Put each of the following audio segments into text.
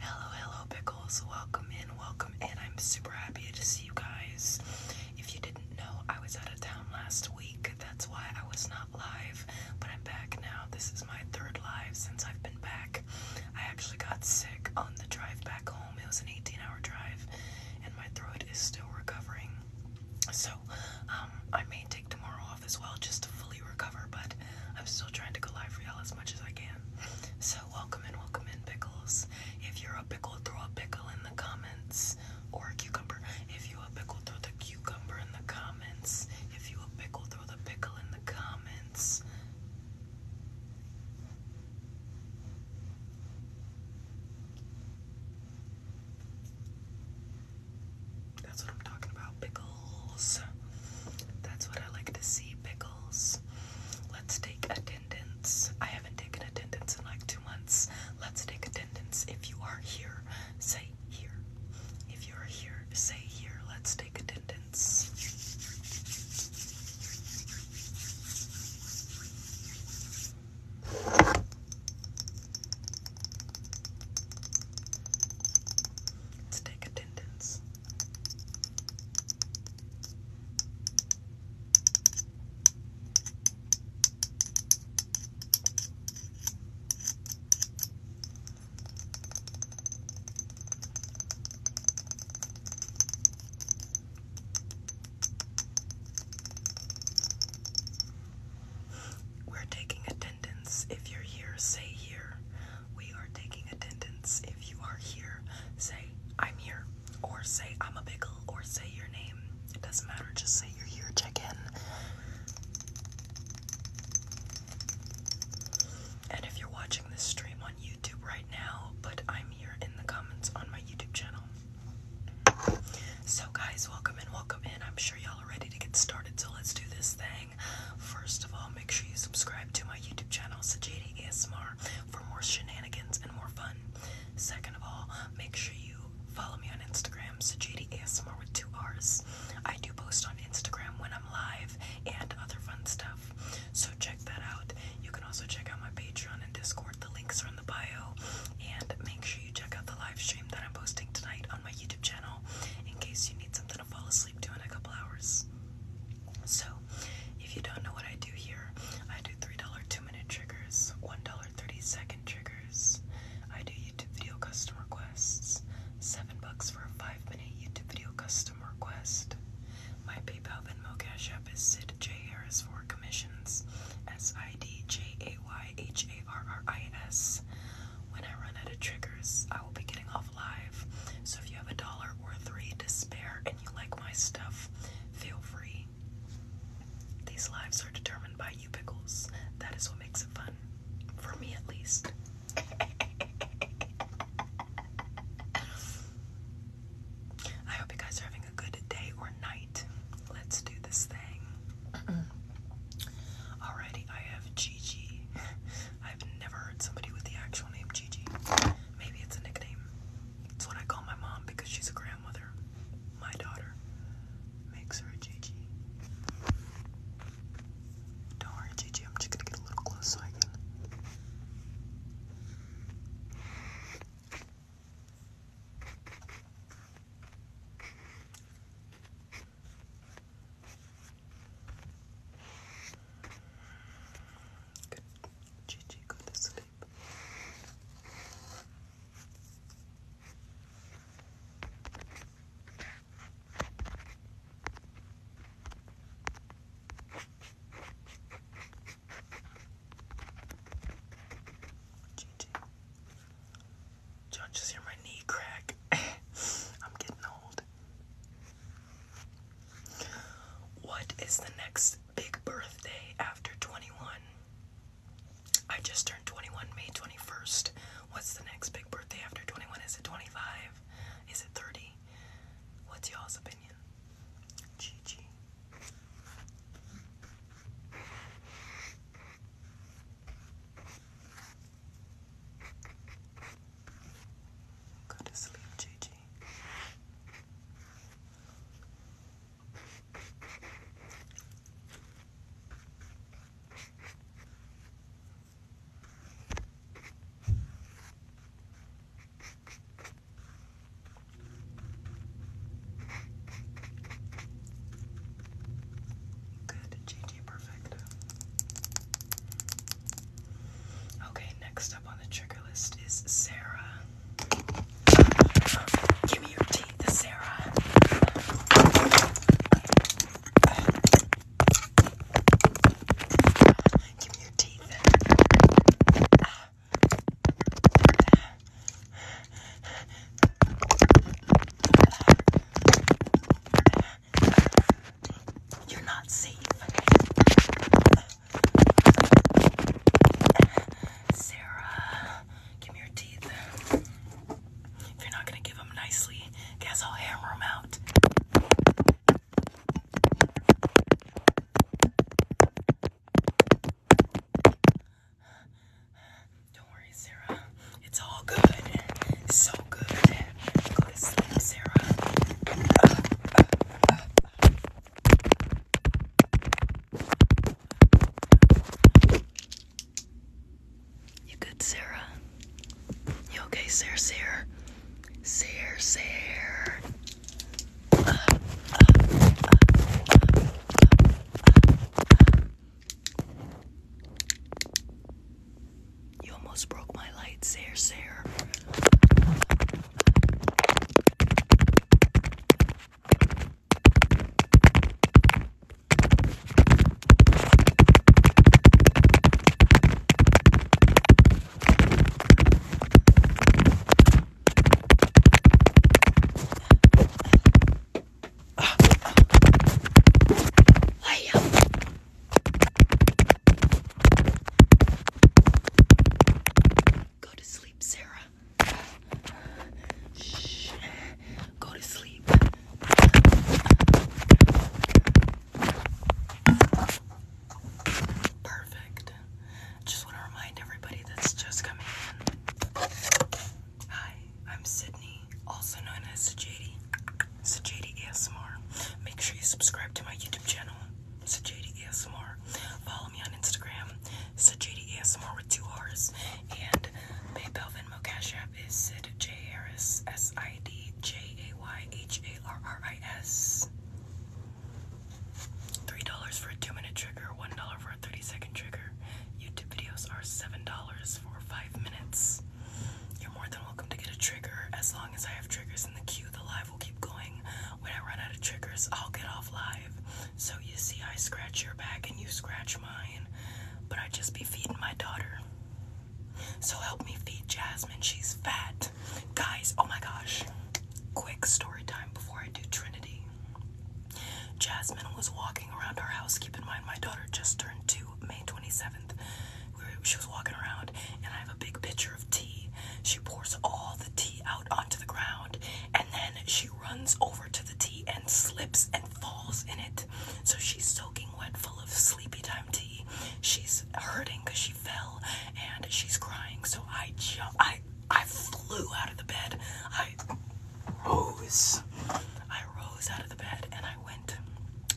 Hello, hello, Pickles. Welcome in, welcome in. I'm super happy to see you guys. If you didn't know, I was out of town last week. That's why I was not live, but I'm back now. This is my third live since I've been back. I actually got sick on the drive back home. It was an 18 hour drive, and my throat is still recovering. So, um, I may take tomorrow off as well just to fully recover, but I'm still trying to go live real as much as I can. So, welcome in, welcome in, pickles. If you're a pickle, throw a pickle in the comments, or a cucumber. If you a pickle, throw the cucumber in the comments. If you a pickle, throw the pickle in the comments. That's what I'm talking about. Pickles. That's what I like to see. Pickles. Let's take attendance. I haven't taken attendance in like two months. Let's take attendance. If you are here, say here. If you are here, say here. Let's take take attendance. Let's take attendance. We're taking attendance. If you're here, say here. We are taking attendance. If you are here, say I'm here. Or say I'm a biggle, Or say your name. It doesn't matter. Just say you're here. Check in. And if you're watching this stream on right now, but I'm here in the comments on my YouTube channel. So, guys, welcome in, welcome in. I'm sure y'all are ready to get started, so let's do this thing. First of all, make sure you subscribe to my YouTube channel, Sajadi ASMR, for more shenanigans and more fun. Second of all, make sure you follow me on Instagram, Sajadi ASMR with two R's. I do post on Instagram when I'm live and other fun stuff. So check that out. You can also check out my Patreon and Discord. The links are in the bio. And make sure you check out the live stream that I'm posting tonight on my YouTube channel in case you need something to fall asleep to in a couple hours. So, if you don't know what I do here, I do $3 2 minute triggers, $1 30 second triggers. I do YouTube video custom requests, 7 bucks for a 5 minute YouTube video custom request. My PayPal Venmo Cash App is Sid J. Harris for commissions. S I D J A Y H A R R I S. When I run out of triggers, I will be getting off live. So if you have a dollar or three to spare and you like my stuff, feel free. These lives are determined by you pickles. That is what makes it fun. For me at least. I hope you guys are having a good day or night. Let's do this thing. Alrighty, I have Gigi. I've never heard somebody with the actual name Gigi. Maybe it's a nickname. It's what I call my mom because she's a grandmother. My daughter makes her a Gigi. do Gigi. I'm just gonna get a little close Good. Gigi, go to sleep. GG. hear my knee crack? I'm getting old. What is the next big birthday after 21? I just turned 21 May 21st. What's the next big birthday after 21? Is it 25? Is it 30? What's y'all's opinion? Gigi. Go to sleep, Gigi. Good, GG Perfecto. Okay, next up on the trigger list is Sarah. Give me your teeth, Sarah. Give me your teeth. You're not safe. Sarah, give me your teeth. If you're not going to give them nicely, guess I'll hammer them out. Don't worry, Sarah. It's all good. It's so good. Go to sleep, Sarah. Uh, uh, uh, uh. You good, Sarah? You okay, Sarah? Sarah? Sarah, Sarah. You almost broke my light, sir, sir. Go to sleep, Sarah. Shh. Go to sleep. Perfect. Just want to remind everybody that's just coming in. Hi, I'm Sydney, also known as Sajadi. Sajadi ASMR. Make sure you subscribe to my YouTube channel, Sajadi ASMR. Follow me on Instagram, Sajadi ASMR with two R's. And my Belvin Cash App is Sid J Harris S I D J A Y H A R R I S. $3 for a 2 minute trigger, $1 for a 30 second trigger. YouTube videos are $7 for 5 minutes. You're more than welcome to get a trigger as long as I have triggers in the queue. The live will keep going. When I run out of triggers, I'll get off live. So you see, I scratch your back and you scratch mine, but I just be feeding my daughter. So help me feed Jasmine, she's fat. Guys, oh my gosh. Quick story time before I do Trinity. Jasmine was walking around our house. Keep in mind, my daughter just turned two, May 27th. We she was walking around, and I have a big pitcher of tea. She pours all the tea out onto the ground, and then she runs over to the tea and slips and falls in it. So she's soaking wet, full of sleepy time tea. She's hurting because she fell, and she's crying. So I jump. I I flew out of the bed. I rose. I rose out of the bed and I went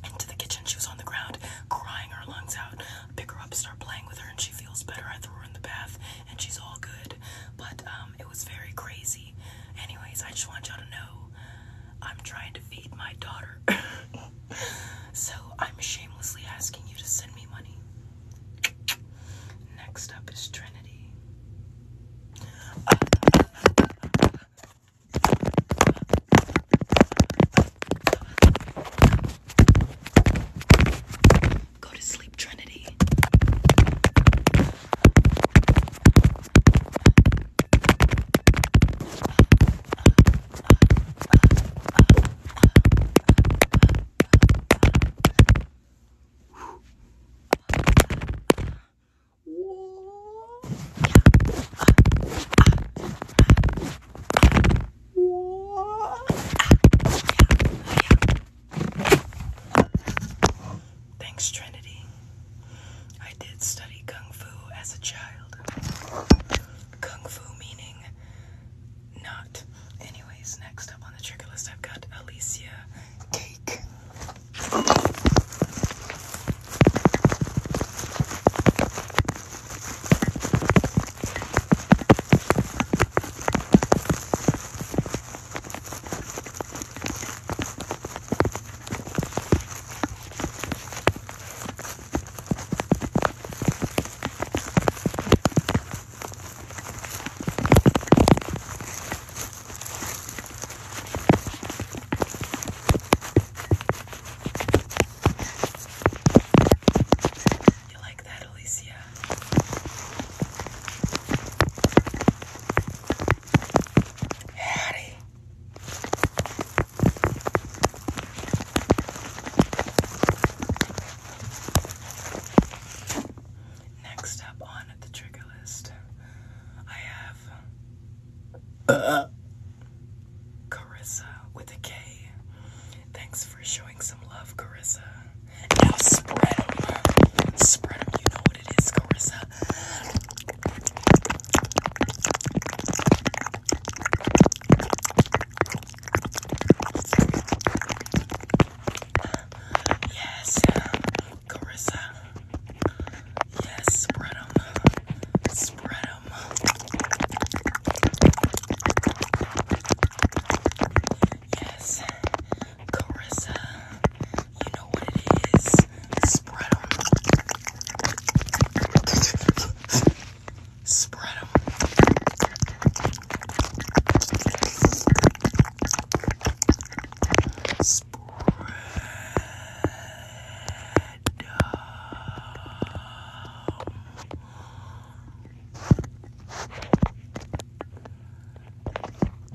into the kitchen. She was on the ground, crying her lungs out. pick her up, start playing with her, and she feels better. I threw her in the bath, and she's all good. But um, it was very crazy. Anyways, I just want y'all to know I'm trying to feed my daughter. so I'm shamelessly asking you to send me money. Next up is Trinity. Go to sleep, Trinity. Thanks, Trinity. I did study Kung Fu as a child. Kung Fu meaning not. Anyways, next up on the trigger list, I've got Alicia Cake. You like that, Alicia? Howdy. Next up on the trigger list, I have uh, Carissa with a K. Thanks for showing some love, Carissa. Now spread them. Spread them. You know what it is, Carissa. Yes, Carissa. Yes, spread them. Yes, Carissa. You know what it is. Spread spread them. Spread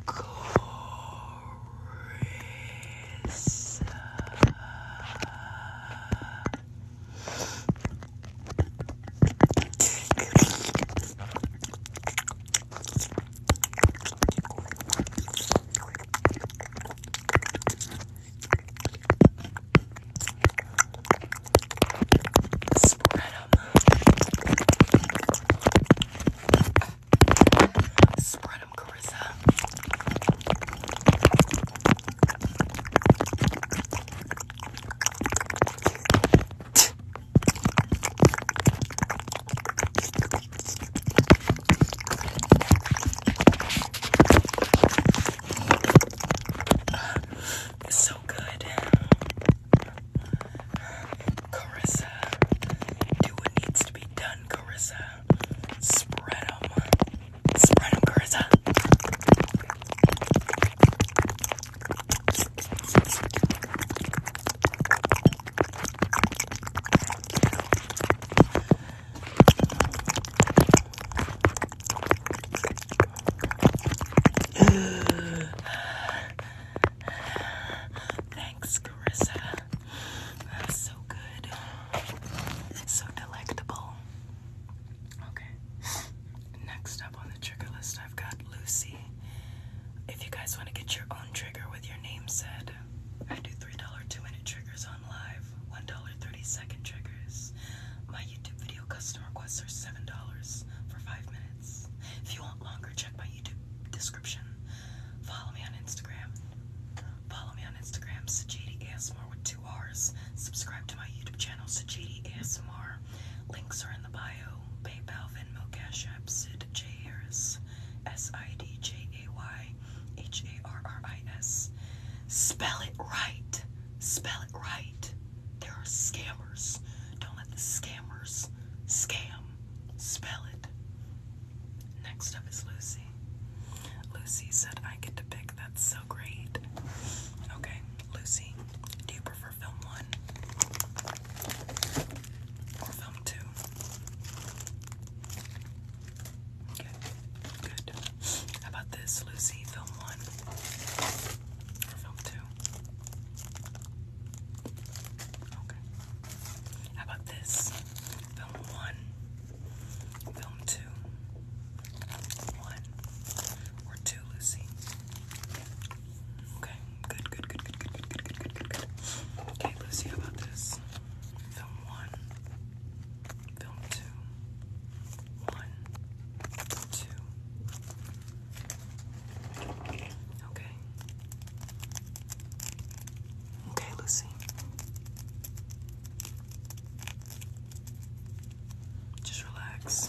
Carissa. Spread them. Spread them, Carissa. It's so good. Carissa, do what needs to be done, Carissa. Spread them. Spread them, Carissa. Thanks, Carissa. That's so good. So delectable. Okay. Next next up on the trigger list, I've got Lucy. If you guys want to get your own trigger with your name said, I do $3 two minute triggers on live, $1 30 second triggers. My YouTube video custom requests are $7 for 5 minutes. If you want longer, check my YouTube description. Follow me on Instagram. Follow me on Instagram, Sajidi ASMR with two R's. Subscribe to my YouTube channel, Sajidi ASMR. Links are in the bio. PayPal, Venmo, Cash Sid J. Harris, S-I-D-J-A-Y-H-A-R-R-I-S. Spell it right. Spell it right. There are scammers. Don't let the scammers scam. Spell it. Next up is Lucy. Lucy said I get to pick. That's so great. Okay, Lucy, do you prefer film one film two. Okay, good. How about this, Lucy? Film one film two? Okay. How about this? Film one, film two, one or two, Lucy? Okay, good, good, good, good, good, good, good, good, good, good, Okay, let about this. Film one, film two, one, two. Okay. Okay, let Just relax.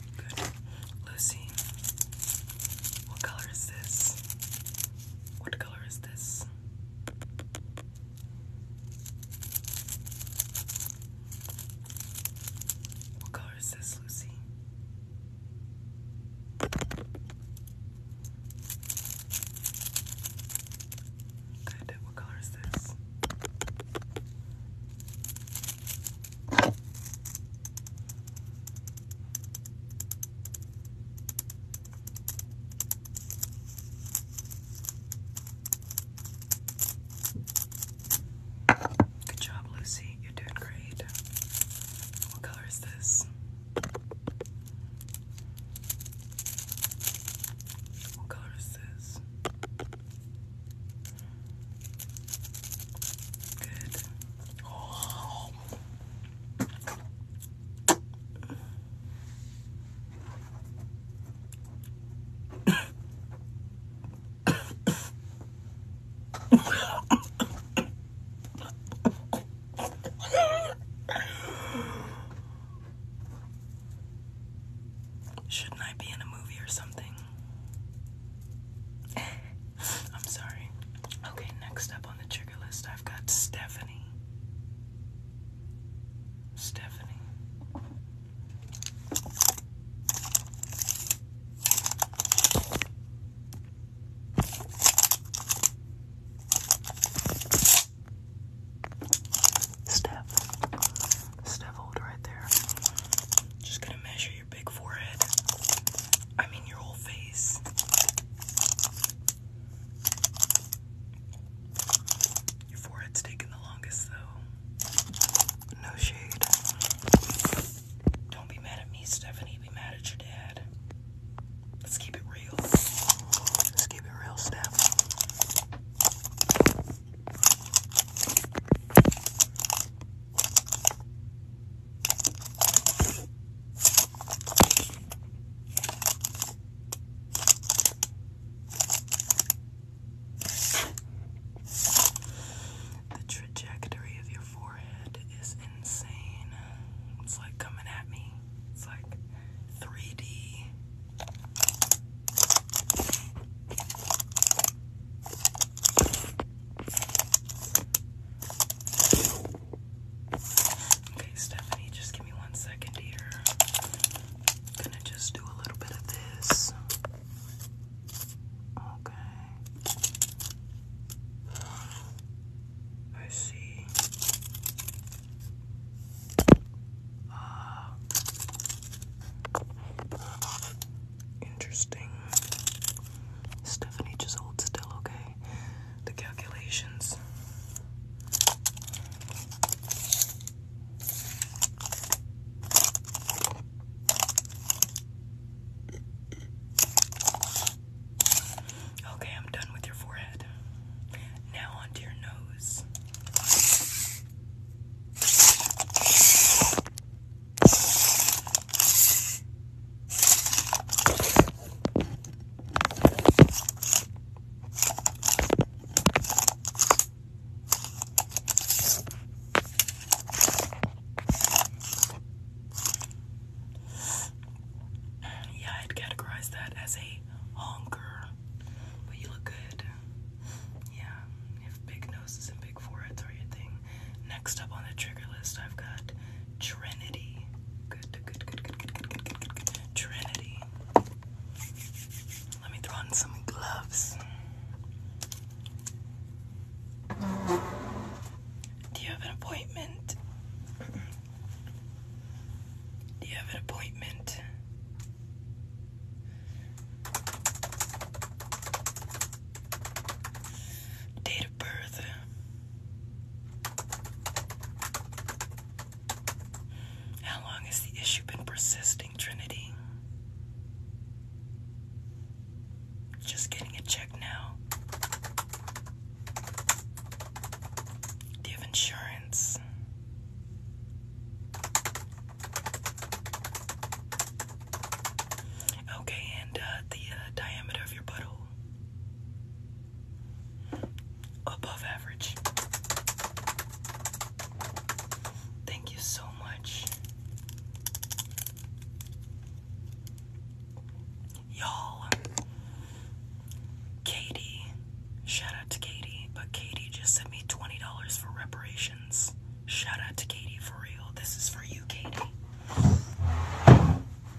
Lucy, what color is this? What color is this? What color is this, Lucy? Good. What color is this? Good job, Lucy. You're doing great. What color is this? What color is this? Good. Oh, Shouldn't I be in a movie or something? I'm sorry. Okay, next up on the trigger list, I've got Stephanie. Stephanie. Steph. Steph hold right there. Just gonna measure you your big forehead. I mean, your whole face. Your forehead's taking the longest, though. No shade. Don't be mad at me, Stephanie. Be mad at your dad. Let's keep it real. Let's keep it real, Steph. The trajectory of your forehead is insane. It's like coming at me. It's like 3D. Okay, Stephanie, just give me one second here. i gonna just do a little bit of this. Okay. I see. Uh, Interesting. Stephanie, just hold still, okay? The calculations. Okay, I'm done with your forehead. Now onto your nose. Yeah, I'd categorize that as a honker, but you look good. Yeah, if big noses and big foreheads are your thing. Next up on the trigger list, I've got Trinity. Good, good, good, good, good, good, good, good, good, good. Trinity. Let me throw on some gloves. Do you have an appointment? Do you have an appointment? Date of birth. How long has the issue been persisting, Trinity? Just getting it checked now. Do insurance? Okay, and uh, the uh, diameter of your butthole above average. Thank you so much. Y'all, Katie, shout out to Katie, but Katie just sent me $20 for reparations. Shout out to Katie for real. This is for you, Katie.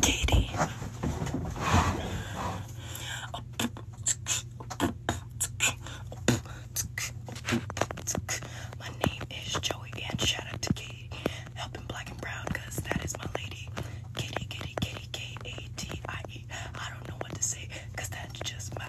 Katie. My name is Joey, and shout out to Katie helping Black and Brown because that is my lady. Katie, Katie, Katie, K A T I E. I don't know what to say because that's just my.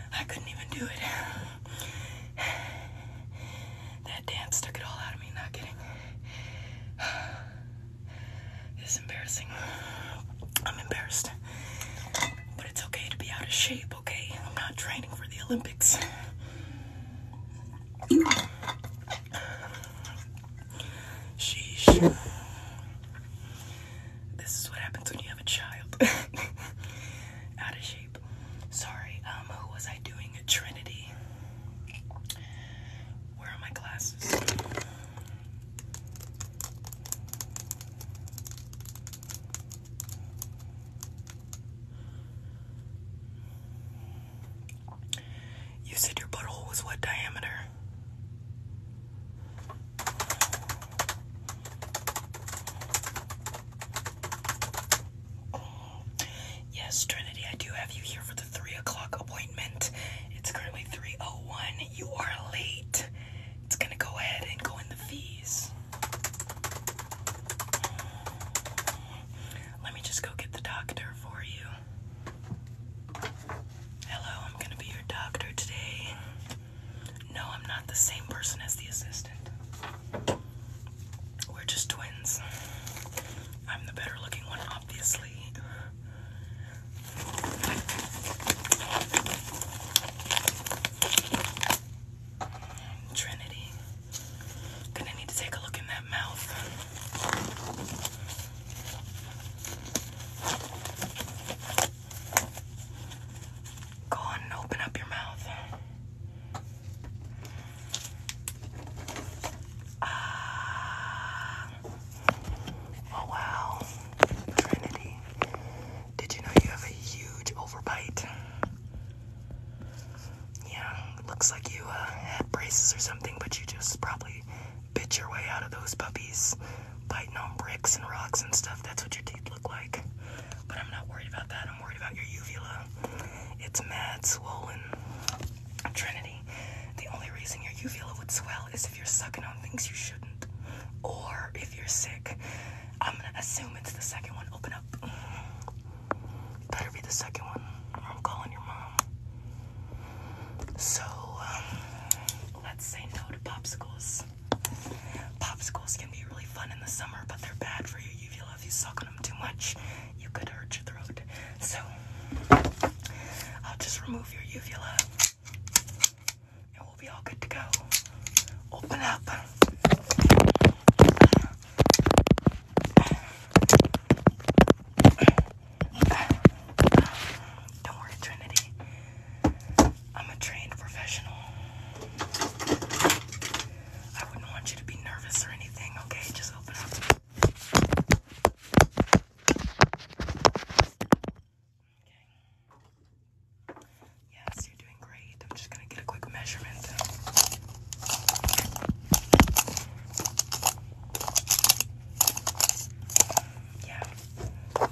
I couldn't even do it. That dance took it all out of me, not kidding. It's embarrassing. I'm embarrassed. But it's okay to be out of shape, okay? I'm not training for the Olympics. Sheesh. This is what happens when you have a child. Out of shape. Sorry, um, who was I doing? A Trinity. Where are my glasses? You said your butthole was what diameter? Yes, Trinity, I do have you here for the 3 o'clock appointment. It's currently oh one. You are late. It's gonna go ahead and go in the fees. Let me just go get the doctor for you. Hello, I'm gonna be your doctor today. No, I'm not the same person as the assistant. We're just twins. I'm the better looking one, obviously. Trinity. Gonna need to take a look in that mouth. Go on and open up your mouth. Ah. Oh wow. Trinity. Did you know you have a huge overbite? Yeah, looks like you uh, had braces or something, but you just probably bit your way out of those puppies biting on bricks and rocks and stuff. That's what your teeth look like. But I'm not worried about that. I'm worried about your uvula. It's mad swollen. Trinity, the only reason your uvula would swell is if you're sucking on things you shouldn't. Or if you're sick. I'm gonna assume it's the second one. Open up. Better be the second one, or I'm calling your mom. So, um, let's say no to popsicles. Popsicles can be really fun in the summer, but they're bad for you. If you love you suck on them too much, you could hurt your throat. So I'll just remove your uvula and we'll be all good to go. Open up. Don't worry, Trinity. I'm a trained professional. I wouldn't want you to be nervous or anything, okay? Just open up. Okay. Yes, you're doing great. I'm just gonna get a quick measurement. Yeah.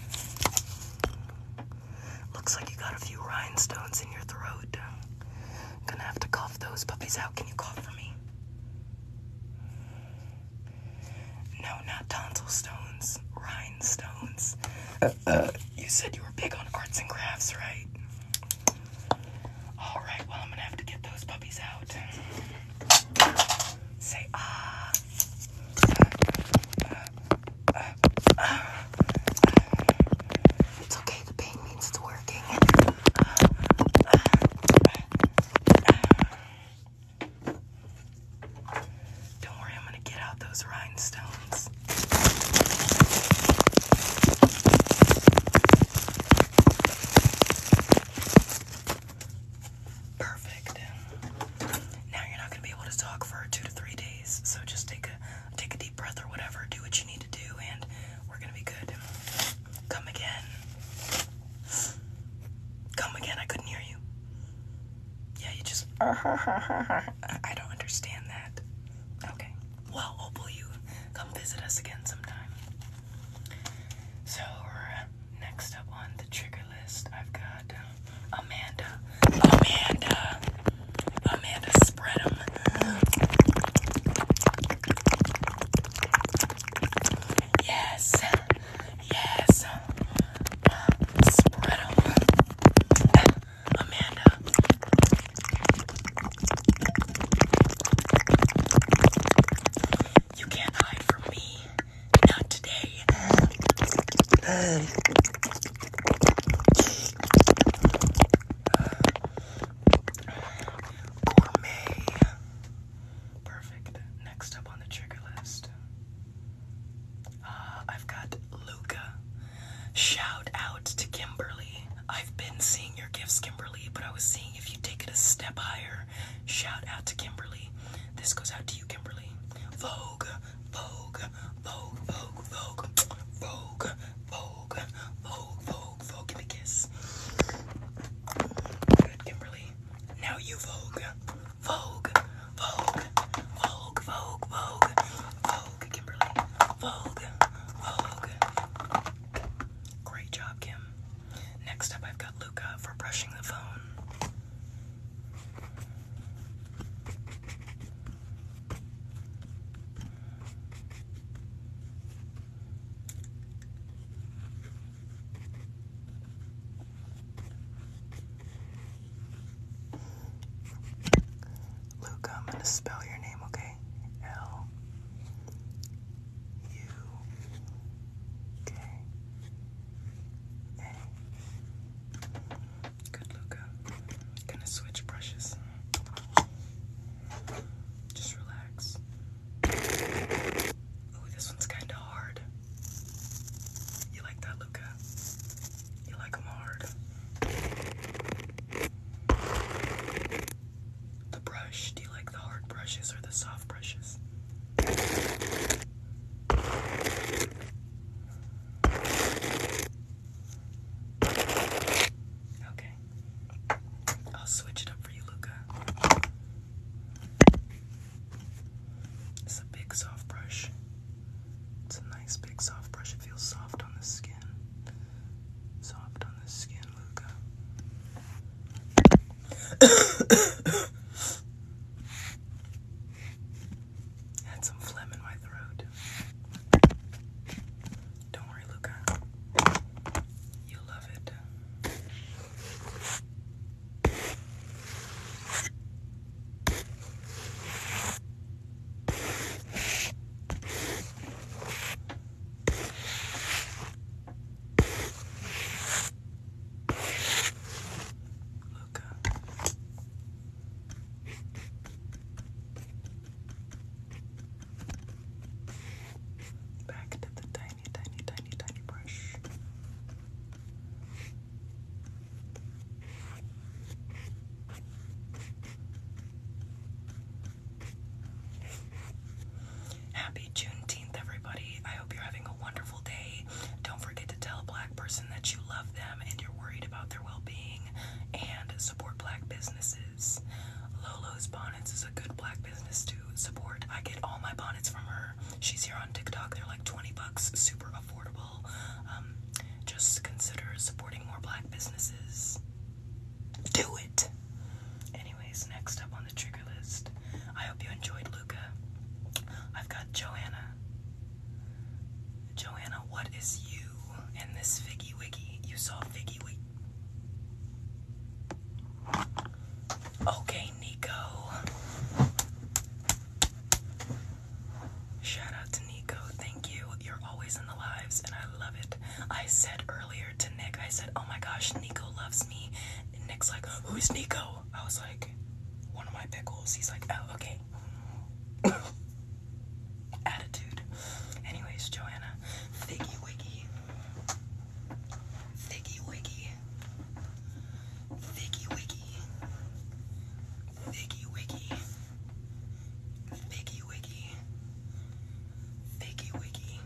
Looks like you got a few rhinestones in your throat. I'm gonna have to cough those puppies out. Can you cough for me? No, not tonsil stones. Rhinestones. Uh, uh, you said you were big on arts and crafts, right? Alright, well, I'm gonna have to get those puppies out. Say ah. Uh, it's okay, the pain means it's working. Don't worry, I'm gonna get out those rhinestones. Perfect. Now you're not going to be able to talk for two to three days, so just take a Take a deep breath or whatever. Do what you need to do, and we're gonna be good. Come again. Come again. I couldn't hear you. Yeah, you just. I don't understand that. Okay. Well, hopefully you come visit us again sometime. So next up on the trigger list, I've got. Amanda, Amanda, Amanda, spread Yes, yes, spread Amanda. You can't hide from me. Not today. Gourmet. Perfect. Next up on the trigger list. Uh, I've got Luca. Shout out to Kimberly. I've been seeing your gifts, Kimberly, but I was seeing if you take it a step higher. Shout out to Kimberly. This goes out to you, Kimberly. Vogue. Vogue, Vogue, Vogue, Vogue, Vogue, Vogue, Vogue, Vogue, Vogue. Give me a kiss. Good, Kimberly. Now you Vogue, Vogue, Vogue, Vogue, Vogue, Vogue, Vogue, Kimberly, Vogue, Vogue. Great job, Kim. Next up, I've got Luca for brushing the phone. Luke, I'm going to spell your name, okay? L U K A. Good look Gonna switch brushes. Just relax. Ooh, this one's kinda hard. You like that, Luca? You like hard? The brush. Do you like the hard brushes or the soft brushes? Okay. I'll switch it up for you, Luca. It's a big soft brush. It's a nice big soft brush. It feels soft on the skin. Soft on the skin, Luca had some phlegm in my throat. Don't worry, Luca. You'll love it. Luca, Back to the tiny, tiny, tiny, tiny brush. Happy Juneteenth, everybody. I hope you're having a wonderful day. Don't forget to tell Black person that you love them and you're worried about their well being and support black businesses. Lolo's Bonnets is a good black business to support. I get all my bonnets from her. She's here on TikTok. They're like 20 bucks, super affordable. Um, just consider supporting more black businesses. Do it! Anyways, next up on the trigger list, I hope you enjoyed Luca. I've got Joanna. Joanna, what is you in this Figgy Wiggy? You saw Figgy Wiggy. Okay, Nico. Shout out to Nico. Thank you. You're always in the lives, and I love it. I said earlier to Nick, I said, oh my gosh, Nico loves me. Nick's like, who's Nico? I was like, one of my pickles. He's like, oh, okay attitude. Anyways, Joanna, Figgy Wiggy, Figgy Wiggy, Figgy Wiggy, Figgy Wiggy, Figgy Wiggy, Figgy Wiggy,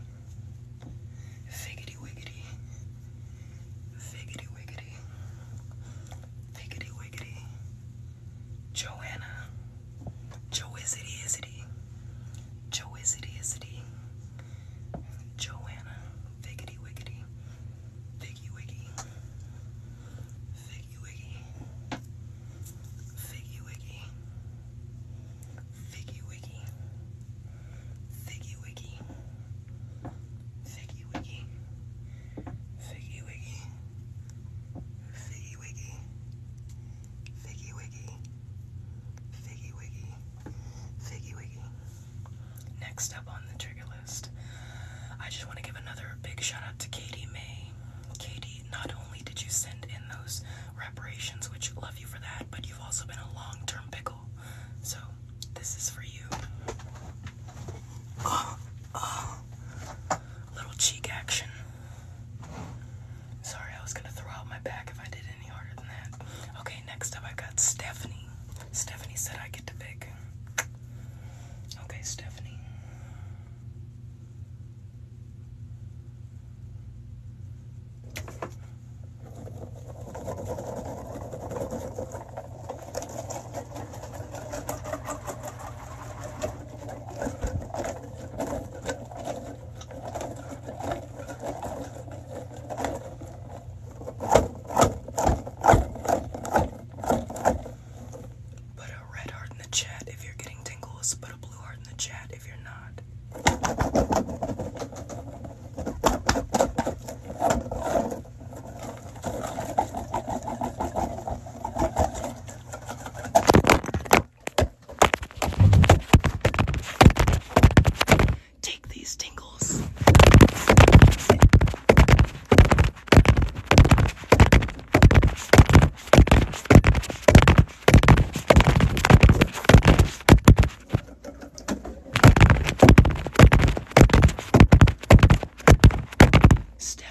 Figgity Wiggity, Figgity Wiggity, Figgity Wiggity. Joanna. Joizity isity. Joizity isity. Joanna. Figgity wiggity. Figgy wiggy. Figgy wiggy. Figgy wiggy. Figgy wiggy. Figgy wiggy. Figgy wiggy. Figgy wiggy. Figgy Wiggy, Figgy Wiggy, Figgy Wiggy, Figgy Wiggy. Next up on the trigger list, I just want to give another big shout out to Katie May. Katie, not only did you send in those reparations, which love you for that, but you've also been a long term pickle. So, this is for you. Uh, uh little cheek action. Sorry, I was gonna throw out my back if I did any harder than that. Okay, next up I got Stephanie. Stephanie said I get to pick. Okay, Stephanie. Put a red heart in the chat if you're getting tingles. Put a blue heart in the chat if you're not. Take these tingles. Step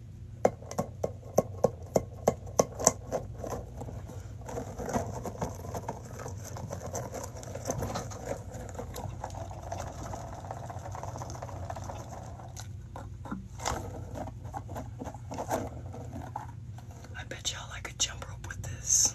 I bet y'all I could jump rope with this.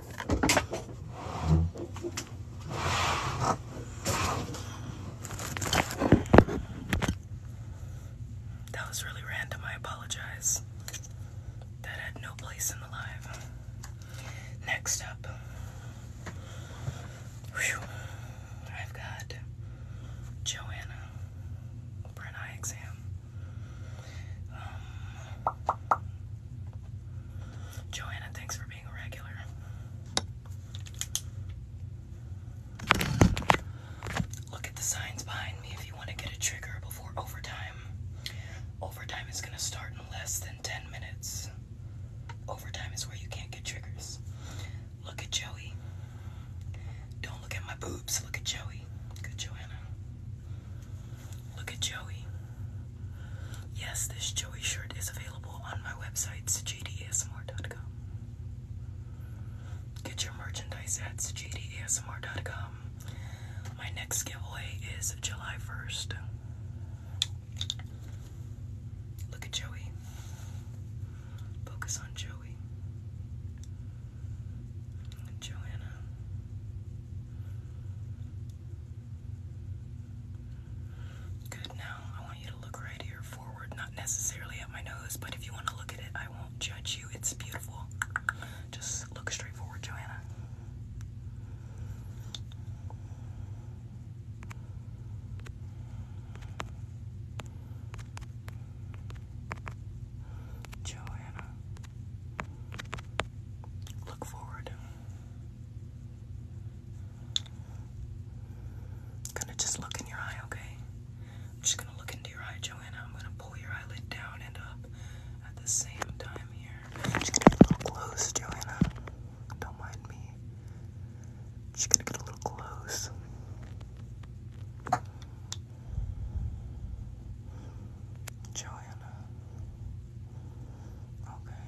That was really random, I apologize. That had no place in the live. Next up, I've got Joanna for an eye exam. Um, Joanna, thanks for being a regular. Look at the signs behind me if you want to get a trigger before overtime. Overtime is going to start in less than 10 minutes. Overtime is where you can't get triggers. Look at Joey. Don't look at my boobs, look at Joey. Good Joanna. Look at Joey. Yes, this Joey shirt is available on my website, sajidasmr.com. Get your merchandise at sajidasmr.com. My next giveaway is July 1st. Look at Joey. Focus on Joey. Joanna. Good, now I want you to look right here forward, not necessarily at my nose, but if you want to look at it, I won't judge you. It's beautiful. Just look straight forward, Joanna. Joanna, look forward. Gonna just look in your eye, okay? I'm just gonna look into your eye, Joanna. I'm gonna pull your eyelid down and up at the same time here. I'm just to get a little close, Joanna. Don't mind me. I'm just gonna get a little close. Joanna. Okay.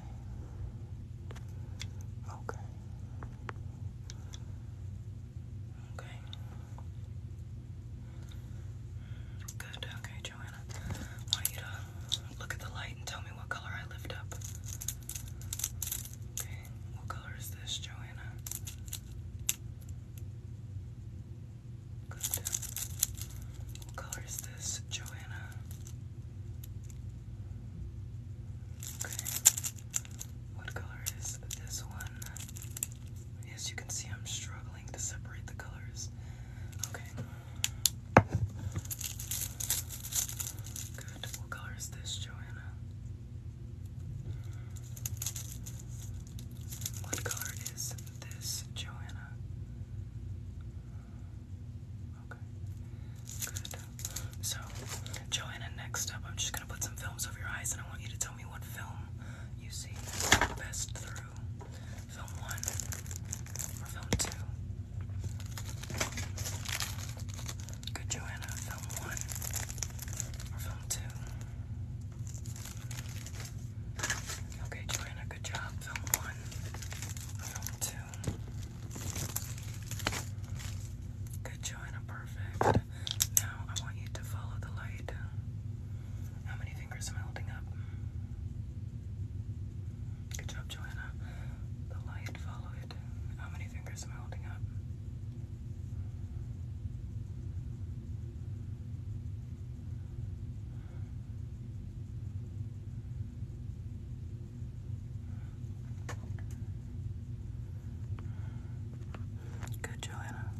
Okay. Okay. Good. Okay, Joanna. I want you to look at the light and tell me what color I lift up. Okay. What color is this, Joanna? Good. What color is this, Joanna? Okay. What color is this one? Yes, you can see I'm struggling to separate the colors. Okay. Good. What color is this, Joanna? What color is this, Joanna? Okay. Good. So, Joanna, next up, I'm just gonna put some films over your eyes, and I want you to tell me what film you see best through film one or film two. Good, Joanna. Film one or film two. Okay, Joanna, good job. Film one, film two. Good, Joanna, perfect. Now I want you to follow the light. How many fingers am I holding up? Good job, Joanna. The light, follow it. How many fingers am I holding up? Good, Joanna.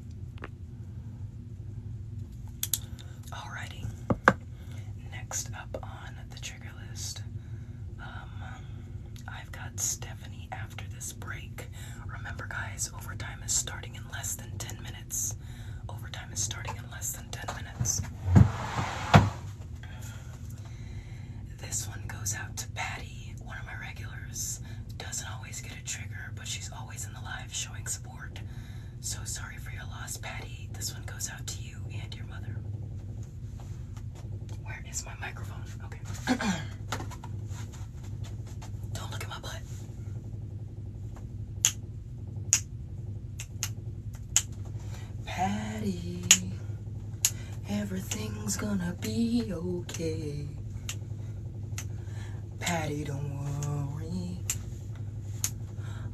Alrighty. Next up on the trigger list, um, I've got Stephanie after this break. Remember, guys, overtime is starting in less than 10 minutes. Overtime is starting in less than 10 minutes. This one goes out to Patty, one of my regulars. Doesn't always get a trigger, but she's always in the live showing support. So sorry for your loss, Patty. This one goes out to you and your mother. Where is my microphone? Okay. Don't look at my butt. Patty, everything's gonna be okay. Patty, don't worry.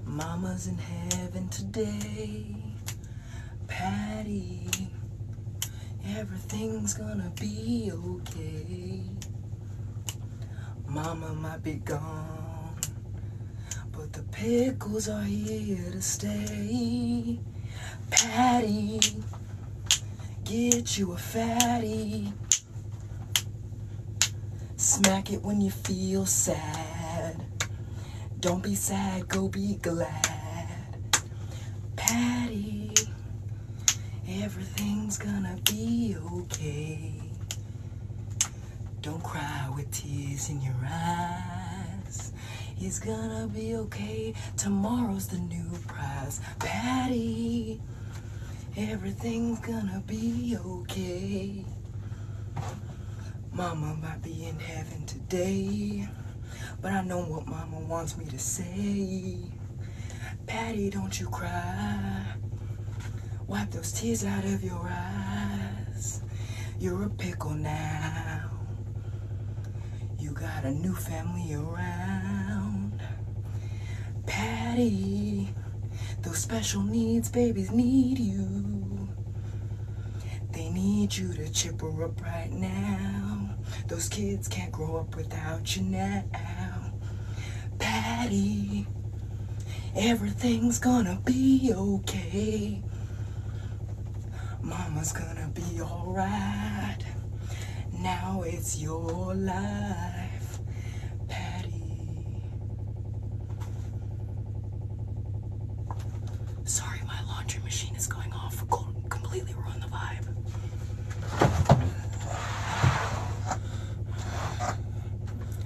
Mama's in heaven today. Patty, everything's gonna be okay. Mama might be gone, but the pickles are here to stay. Patty, get you a fatty. Smack it when you feel sad. Don't be sad, go be glad. Patty, everything's gonna be okay. Don't cry with tears in your eyes. It's gonna be okay. Tomorrow's the new prize. Patty, everything's gonna be okay. Mama might be in heaven today, but I know what Mama wants me to say. Patty, don't you cry. Wipe those tears out of your eyes. You're a pickle now. You got a new family around. Patty, those special needs babies need you. They need you to chip her up right now. Those kids can't grow up without you now. Patty, Everything's gonna be okay. Mama's gonna be alright. Now it's your life, Patty. Sorry, my laundry machine is going off. Completely ruined the vibe.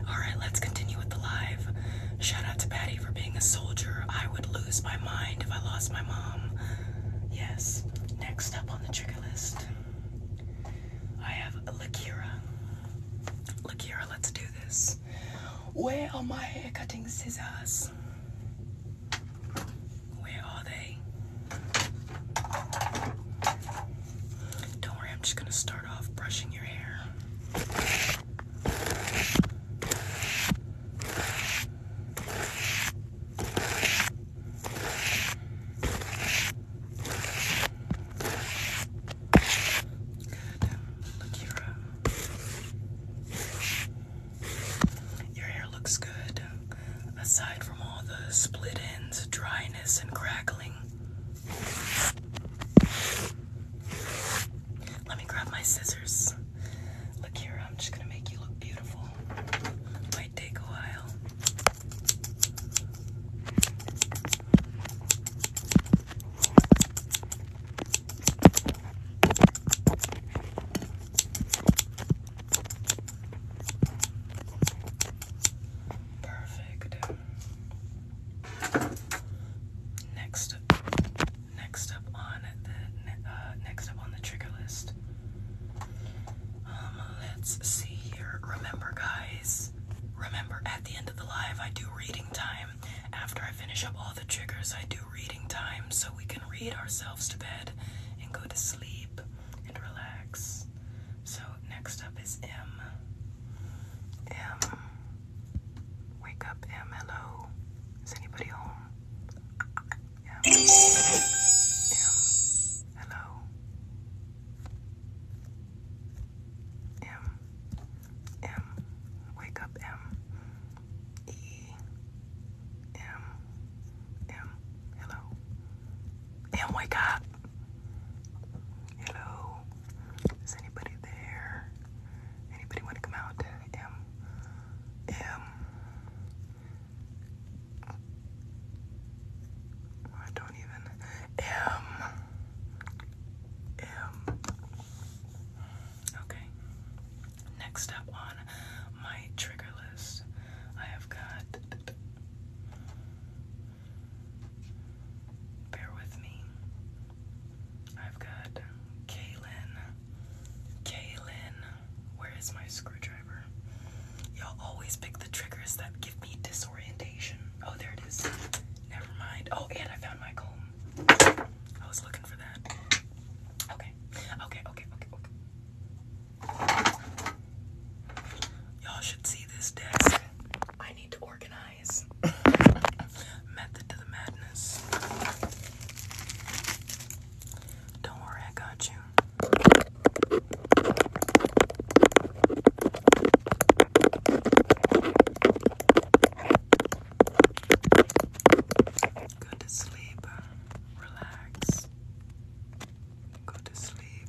All right, let's continue with the live. Shout out to Patty for being a soldier. I would lose my mind if I lost my mom. Yes. Next up on the trigger list, I have Lakira. Lakira, let's do this. Where are my hair cutting scissors? Where are they? Don't worry, I'm just going to start off brushing your hair. Good. Look here. Your hair looks good, aside from all the split ends, dryness, and crackling. Let me grab my scissors. Look here, I'm just gonna make you look beautiful. Might take a while. Perfect. Next, next up on the uh, next up on the trigger list. Um, let's see here. Remember, guys. Remember, at the end of the live, I do reading time. After I finish up all the triggers, I do reading time so we can read ourselves to bed and go to sleep and relax. So next up is M. M. Wake up, M. Hello. Is anybody home? M. M. Hello. M. M. Wake up, M. E. M. M. Hello. M. Wake up. Hello? Is anybody there? Anybody want to come out? M. M. I don't even. M. M. Okay. Next up on my trigger list, I have got. Bear with me. I've got Kaylin. Kaylin, where is my screwdriver? Y'all always pick the triggers that give me disorientation. Oh, there it is. Never mind. Oh, and I found my comb. I was looking for that. Okay, okay, okay, okay, okay. Y'all should see this desk. I need to organize. Method to the madness. Don't worry, I got you. Go to sleep, relax. Go to sleep.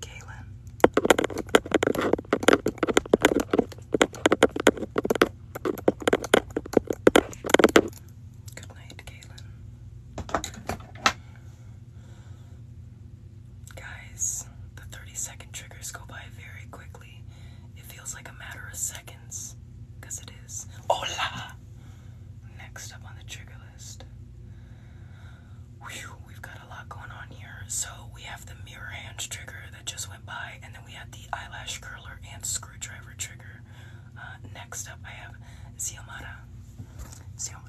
Kaylin. Good night, Kaylin. Guys, the 30 second triggers go by very quickly. It feels like a matter of seconds, it is. Hola! Next up on the trigger list we've got a lot going on here. So we have the mirror hand trigger that just went by, and then we have the eyelash curler and screwdriver trigger. Uh, next up, I have Xiomara. Xiomara.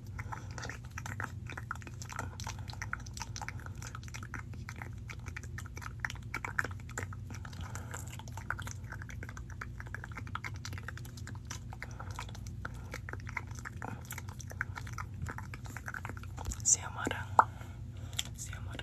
See you, mother. See you, mother.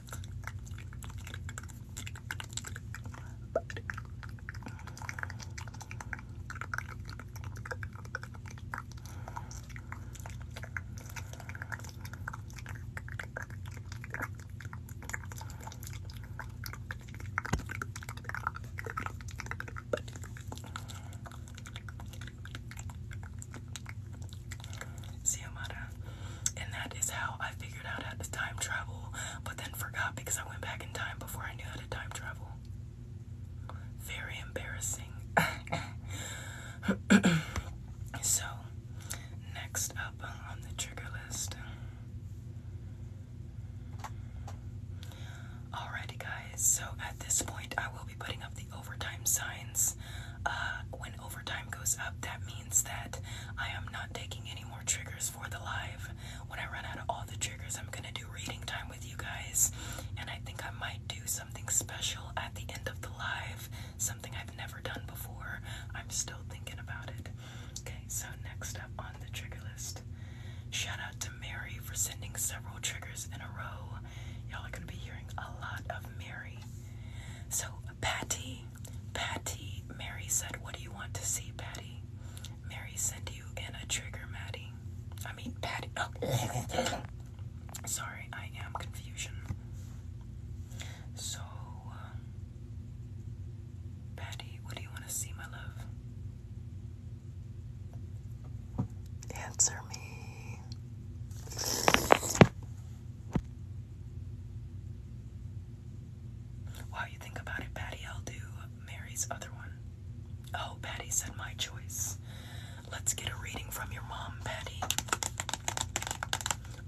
See you, much and that is how I figured out how to time travel, but then forgot because I went back in time before I knew how to time travel. Very embarrassing. so, next up on the trigger list. Alrighty, guys, so at this point, I will be putting up the overtime signs. Uh, when overtime goes up, that means that I am not taking any triggers for the live. When I run out of all the triggers, I'm gonna do reading time with you guys. And I think I might do something special at the end of the live, something I've never done before. I'm still thinking about it. Okay, so next up on the trigger list. Shout out to Mary for sending several triggers in a row. Y'all are gonna be hearing a lot of Mary. So Patty Patty, Mary said, What do you want to see, Patty? Mary sent you in a trigger, Matty. I mean, Patty. Oh. Sorry, I am confusion. So, um, Patty, what do you want to see, my love? Answer me. While you think about it, Patty, I'll do Mary's other one. Oh, Patty said my choice. Let's get a reading from your mom, Patty.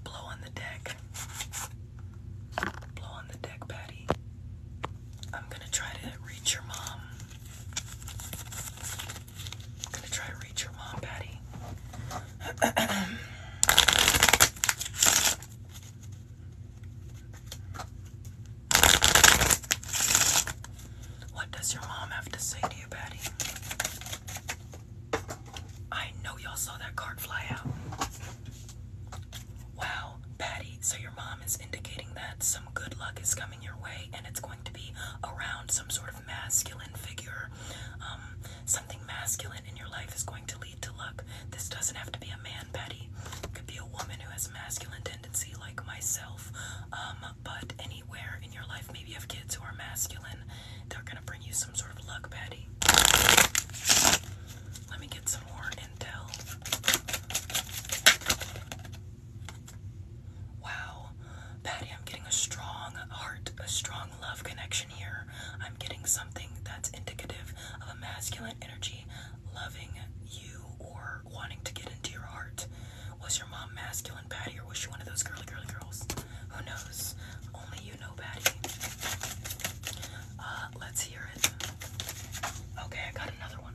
Blow on the deck. Blow on the deck, Patty. I'm gonna try to reach your mom. I'm gonna try to reach your mom, Patty. What does your mom have to say to you, Patty? I know y'all saw that card fly out. Wow, Patty, so your mom is indicating that some good luck is coming your way and it's going to be around some sort of masculine figure. Um, Something masculine in your life is going to lead to luck. This doesn't have to be a man, Patty. It could be a woman who has a masculine tendency like myself. Um, but anywhere in your life, maybe you have kids who are masculine. They're gonna bring you some sort of luck, Betty. Let me get some more intel. Wow, Patty, I'm getting a strong heart, a strong love connection here. I'm getting something that's indicative of a masculine energy loving you or wanting to get into your heart. Was your mom masculine, Patty, or was she one of those girly, girly girls? Who knows? Only you know, Patty. Uh, let's hear it. Okay, I got another one.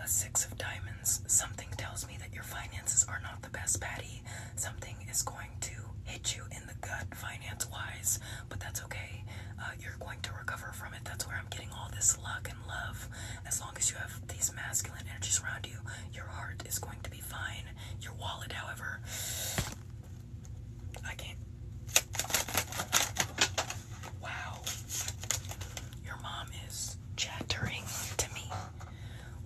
A six of diamonds. Something tells me that your finances are not the best, Patty. Something is going to hit you in the gut finance wise, but that's okay. Uh, you're going to recover from it. That's where I'm getting all this luck and love. As long as you have these masculine energies around you, your heart is going to be fine. Your wallet, however, I can't. Wow. Your mom is chattering to me.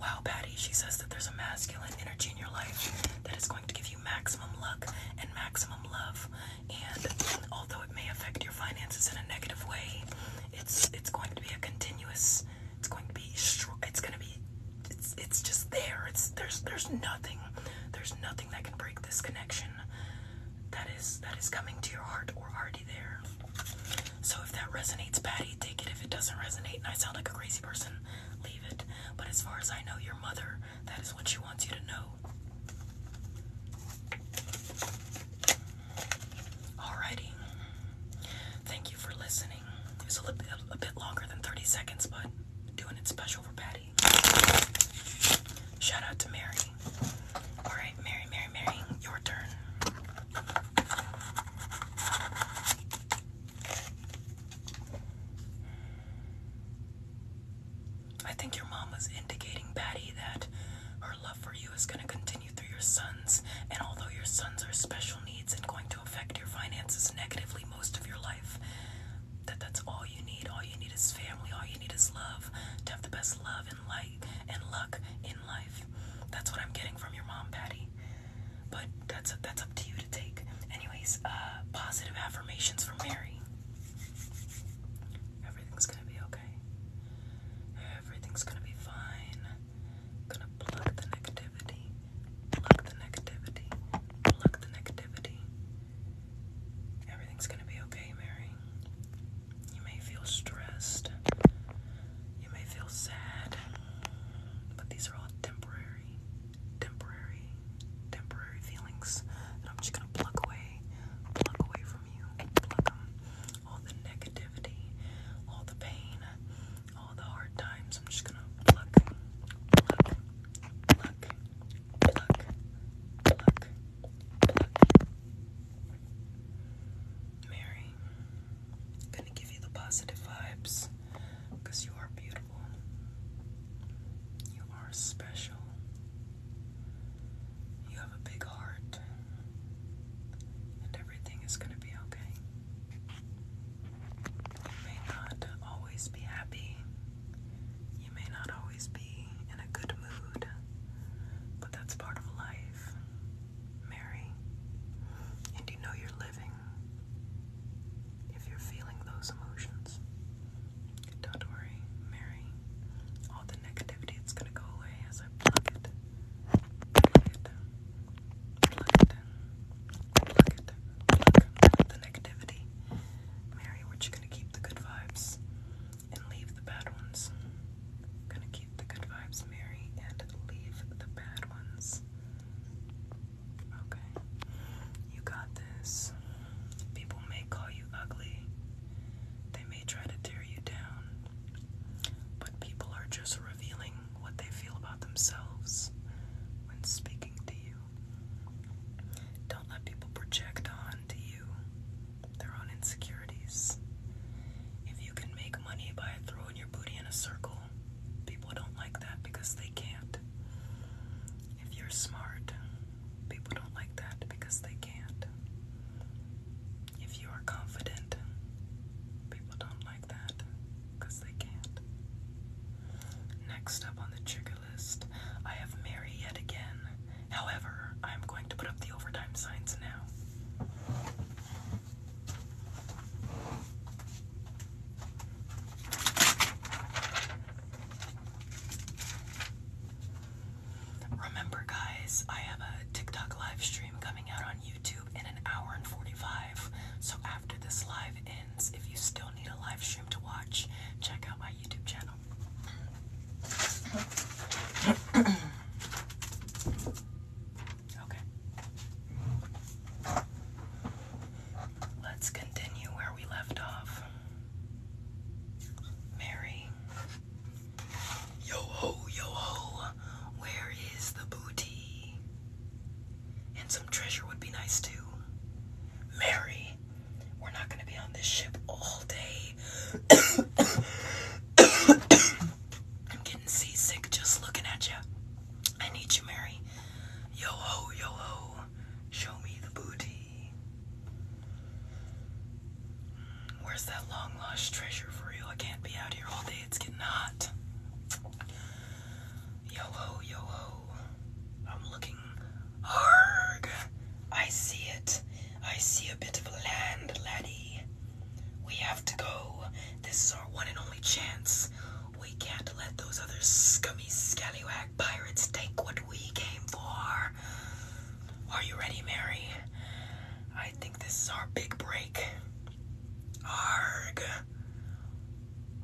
Wow, Patty, she says that there's a masculine energy in your life that is going to give you maximum luck and maximum love. And although it may affect your finances in a negative way, it's it's going to be a continuous. It's going to be. strong. It's going to be. It's it's just there. It's there's there's nothing. There's nothing that can break this connection. That is that is coming to your heart or already there. So if that resonates, Patty, take it. If it doesn't resonate, and I sound like a crazy person, but as far as I know, your mother, that is what she wants you to know. Alrighty. Thank you for listening. It a bit longer than 30 seconds, but doing it special for Patty. Shout out to Mary. Alright, Mary, Mary, Mary, your turn. I think your mom was indicating, Patty, that her love for you is going to continue through your sons, and although your sons are special needs and going to affect your finances negatively most of your life, that that's all you need. All you need is family. All you need is love to have the best love and light and luck in life. That's what I'm getting from your mom, Patty. But that's that's up to you to take. Anyways, uh, positive affirmations from Mary. Everything's gonna be okay. Everything's gonna be fine. Gonna plug the negativity. Plug the negativity. Plug the negativity. Everything's gonna be okay, Mary. You may feel stressed. You may feel sad. But these are all temporary temporary, temporary feelings I'm just gonna pluck away, pluck away from you, pluck them. All the negativity, all the pain, all the hard times. I'm just gonna pluck, pluck, pluck, pluck, pluck, pluck. Mary, gonna give you the positive vibes you are beautiful. You are special. You have a big heart. And everything is going to be okay. You may not always be happy. You may not always be in a good mood. But that's part of life, Mary. And you know you're living. If you're feeling those emotions, don't worry, Mary. All the negativity it's gonna go away as I plug it. Plug it. Plug it. Plug it. Plug the negativity. Mary, we're just gonna keep the good vibes and leave the bad ones. Gonna keep the good vibes, Mary, and leave the bad ones. Okay. You got this. People may call you ugly. They may try to tear you down. But people are just revealing what they feel about themselves when speaking to you. Don't let people project onto you their own insecurities. If you can make money by throwing your booty in a circle, people don't like that because they can't. If you're smart, people don't like that because they can't. If you are confident, people don't like that because they can't. Next up on the trigger list, I have Mary yet again. However, I'm going to put up the overtime signs now. Remember, guys, I have a TikTok live stream coming out on YouTube in an hour and 45. So, after this live ends, if you still need a live stream to watch, check out my YouTube channel. okay. Let's continue where we left off. Mary. Yo ho, yo ho, where is the booty? And some treasure would be nice too. Mary, we're not going to be on this ship all day. I'm getting seasick just looking at you. I need you, Mary. Yo ho, yo ho, show me the booty. Where's that long lost treasure for you? I can't be out here all day, it's getting hot. Yo ho, yo ho, I'm looking. Arg! I see it. I see a bit of land, laddie. We have to go. This is our one and only chance. We can't let those other scummy scallywag pirates take what we came for. Are you ready, Mary? I think this is our big break. Arg.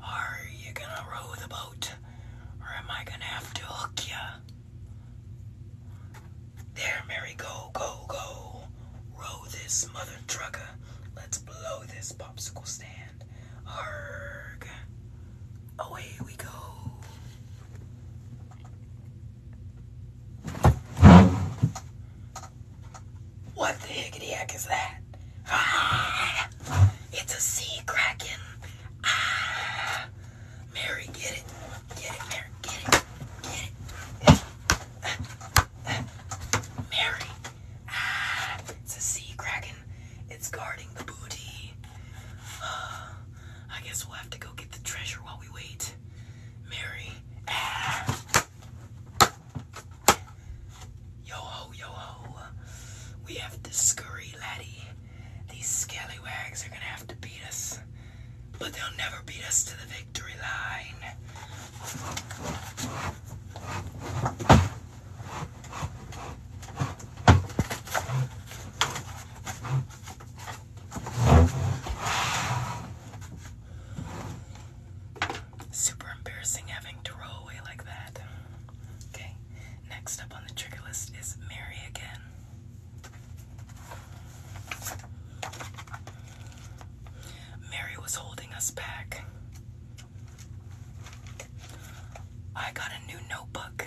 Are you gonna row the boat? Or am I gonna have to hook ya? There, Mary, go, go, go. Row this mother trucker. Let's blow this popsicle stand. Away we go. What the heck is that? it's a sea kraken. Ah, Mary, get it. Get it, Mary. Get it. Get it. Mary. Ah, it's a sea kraken. It's guarding the booty. Uh, I guess we'll have to go get the treasure while we wait. Mary. Ah. Yo ho, yo ho. We have to scurry, laddie. These scallywags are gonna have to beat us. But they'll never beat us to the victory line. Super embarrassing having to roll away like that. Okay, next up on the trigger list is Mary again. Mary was holding us back. I got a new notebook.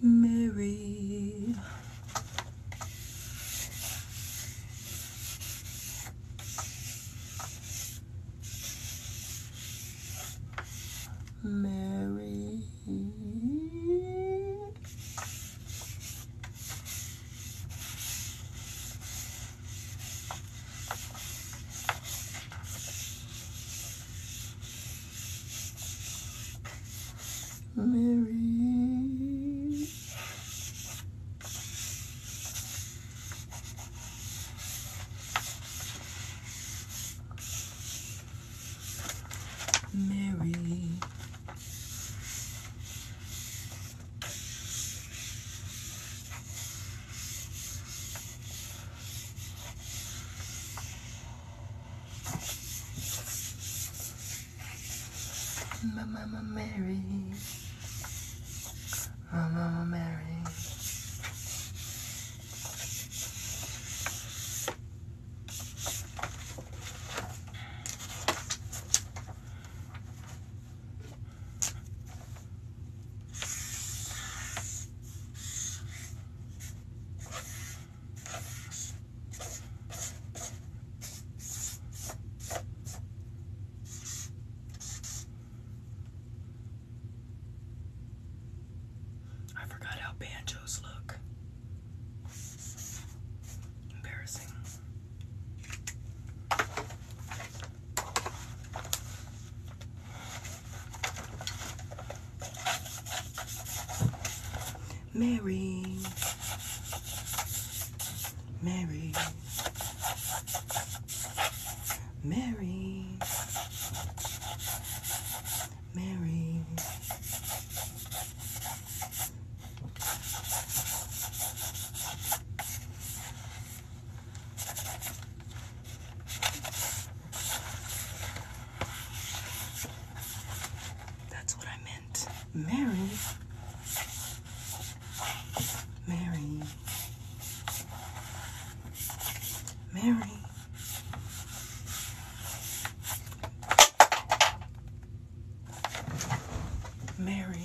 Mary. Mary. Mary. Mary. Mama, Mama Mary. Mama, Mama Mary. I forgot how banjos look. Embarrassing. Mary. Mary. Mary. Mary. That's what I meant. Mary. Mary. Mary. Mary.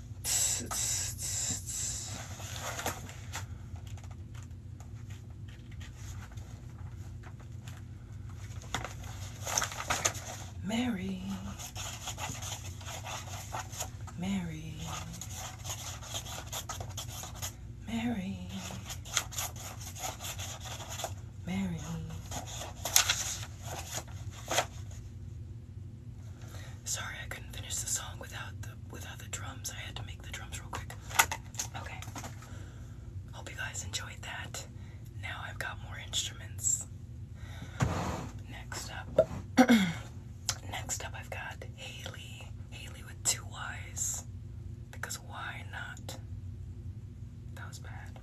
Mary. Mary. Mary. Mary. Sorry, I couldn't finish the song without the without the drums. I had to make the drums real quick. Okay. Hope you guys enjoyed that. Now I've got more instruments. Next up, next up I've got Haley. Haley with two Y's. Because why not? That was bad.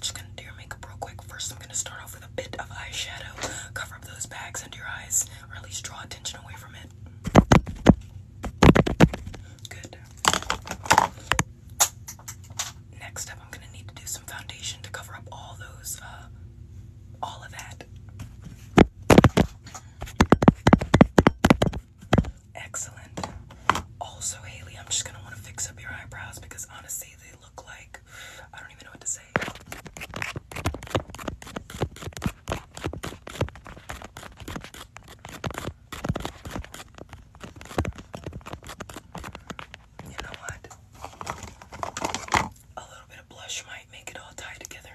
Just gonna do your makeup real quick. First, I'm gonna start off with a bit of eyeshadow. Cover up those bags under your eyes, or at least draw attention away from it. Good. Next up, I'm gonna need to do some foundation to cover up all those, uh, all of that. Excellent. Also, Haley, I'm just gonna want to fix up your eyebrows because honestly, they look like I don't even know what to say. You know what? A little bit of blush might make it all tie together.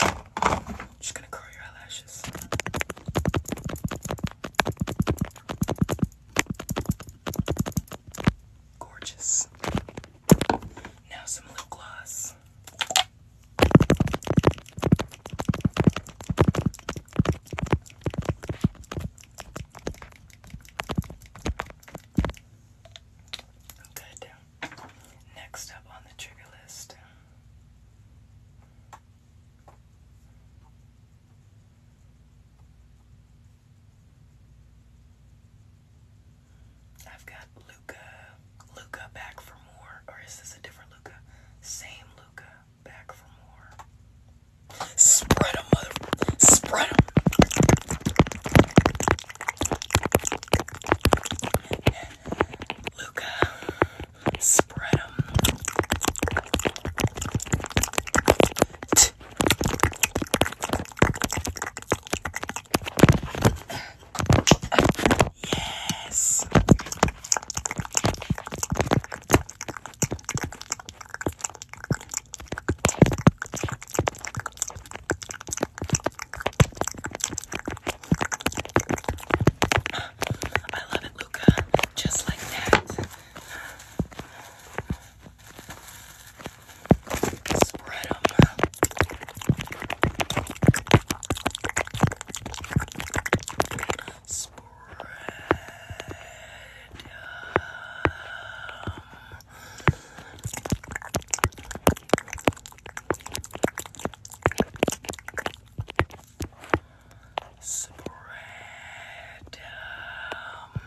I'm just gonna curl your eyelashes. Gorgeous. Now some lip gloss. Good. Next up on the trigger list I've got Luca, Luca back for more, or is this a different Luca? Same Luca back for more. Spread 'em, mother, Spread 'em. Luca, Spread them. yes. I love it, Luca. Just like that. Spread them spread um,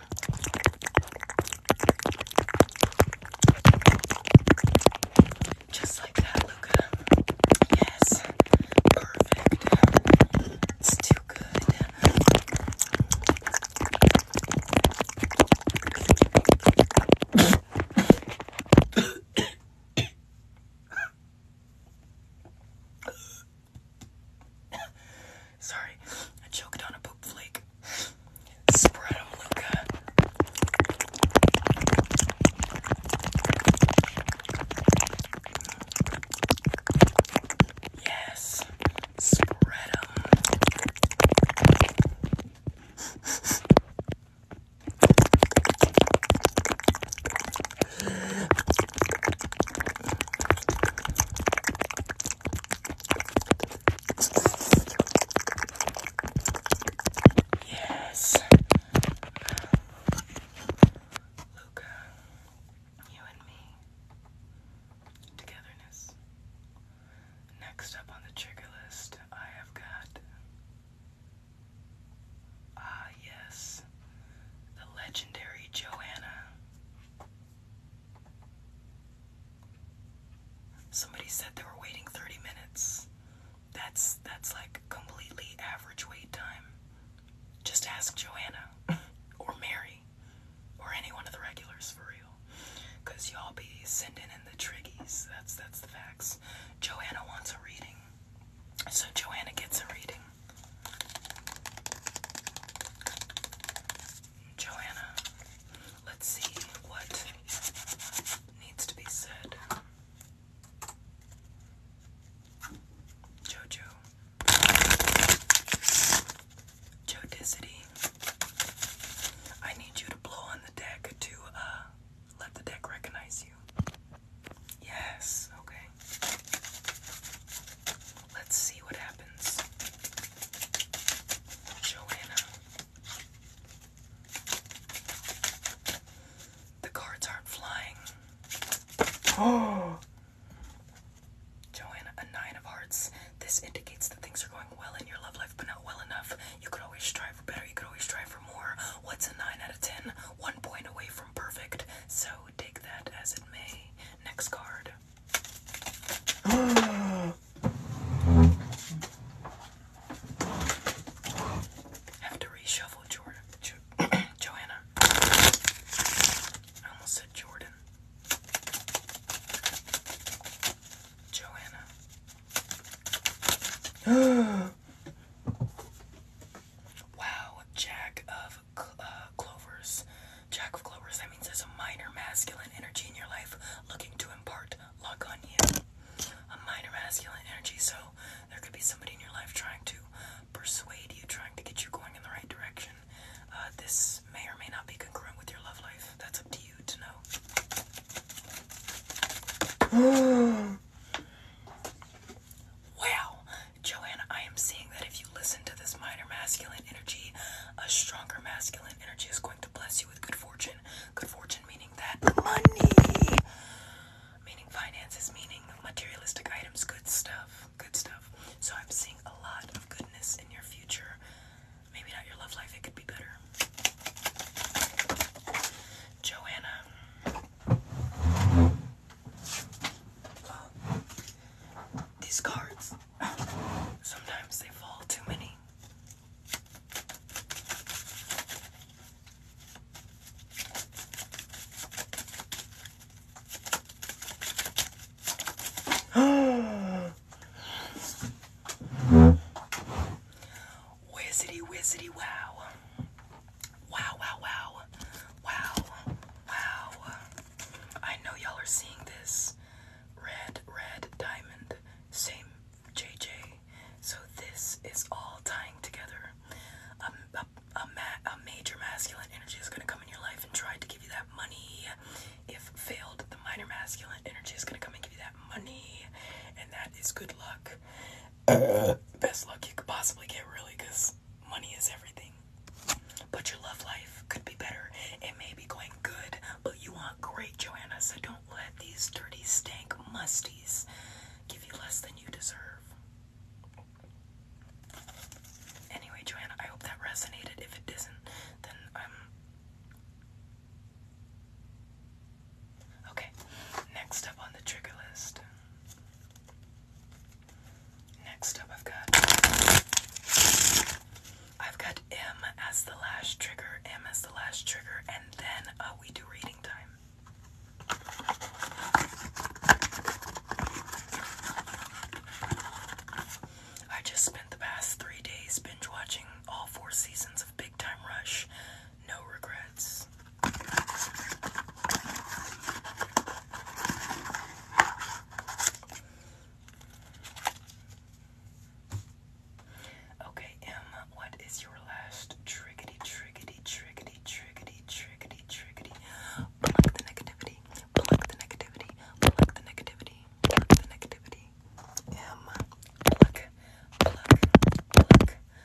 just like that, Luca. Yes, perfect. It's too good. Sorry, I choked on a poopflake. flake. Spread them, Luca. Yes, spread them. Yes. Luca, you and me. Togetherness. Next up on the trigger list, I have got Ah, yes, the legendary Joanna. Somebody said they were waiting 30 minutes. That's that's like completely average wait time. Just ask Joanna or Mary or any one of the regulars for real. you y'all be sending in the triggies. That's that's the facts. Joanna wants a reading. So Joanna gets a reading. Joanna, let's see what needs to be said. Jojo. Joe I need you to blow on the deck to uh let the deck recognize you. Yes, okay. Let's see what happens. Joanna. The cards aren't flying. Oh! Joanna, a nine of hearts. This indicates that things are going well in your love life, but not well enough. You could always strive for better. You could always strive for more. What's a nine out of ten? One point away perfect, so take that as it may. Next card. Have to reshuffle Jordan. Joanna. I almost said Jordan. Joanna. Wow, Jack of uh, Clovers. Jack of Clovers, that means there's a minor masculine energy in your life looking to impart luck on you. A minor masculine energy, so there could be somebody in your life trying to persuade you, trying to get you going in the right direction. Uh, this may or may not be congruent with your love life. That's up to you to know. Wow, Joanna, I am seeing that if you listen to this minor masculine energy, a stronger masculine energy is going to bless you with good fortune. Good fortune meaning that money, meaning finances, meaning materialistic items, good stuff, good stuff. So I'm seeing a lot of goodness in your future. Maybe not your love life, it could be better. Joanna these cards, sometimes they fall too many. Whizzity, whizzity, wow. Wow, wow, wow. Wow, wow. I know y'all are seeing this. Red, red, diamond. Same JJ. So this is all tying together. Um, a, a, ma a major masculine energy is going to come in your life and try to give you that money. If failed, the minor masculine energy is going to come and give you that money. And that is good luck. best luck you could possibly get, really, because money is everything. But your love life could be better. It may be going good, but you want great, Joanna. So don't let these dirty, stank musties give you less than you deserve. Anyway, Joanna, I hope that resonated. If it doesn't, then I'm. Okay, next up on the trigger list. Next up, I've got I've got M as the last trigger, M as the last trigger, and then uh, we do reading time. I just spent the past three days binge watching all four seasons of Big Time Rush no regrets. Okay, M, what is your last triggity, triggity, triggity, triggity, triggity, triggity? Pluck the negativity, pluck the negativity, pluck the negativity, pluck the negativity. M, pluck, pluck, pluck,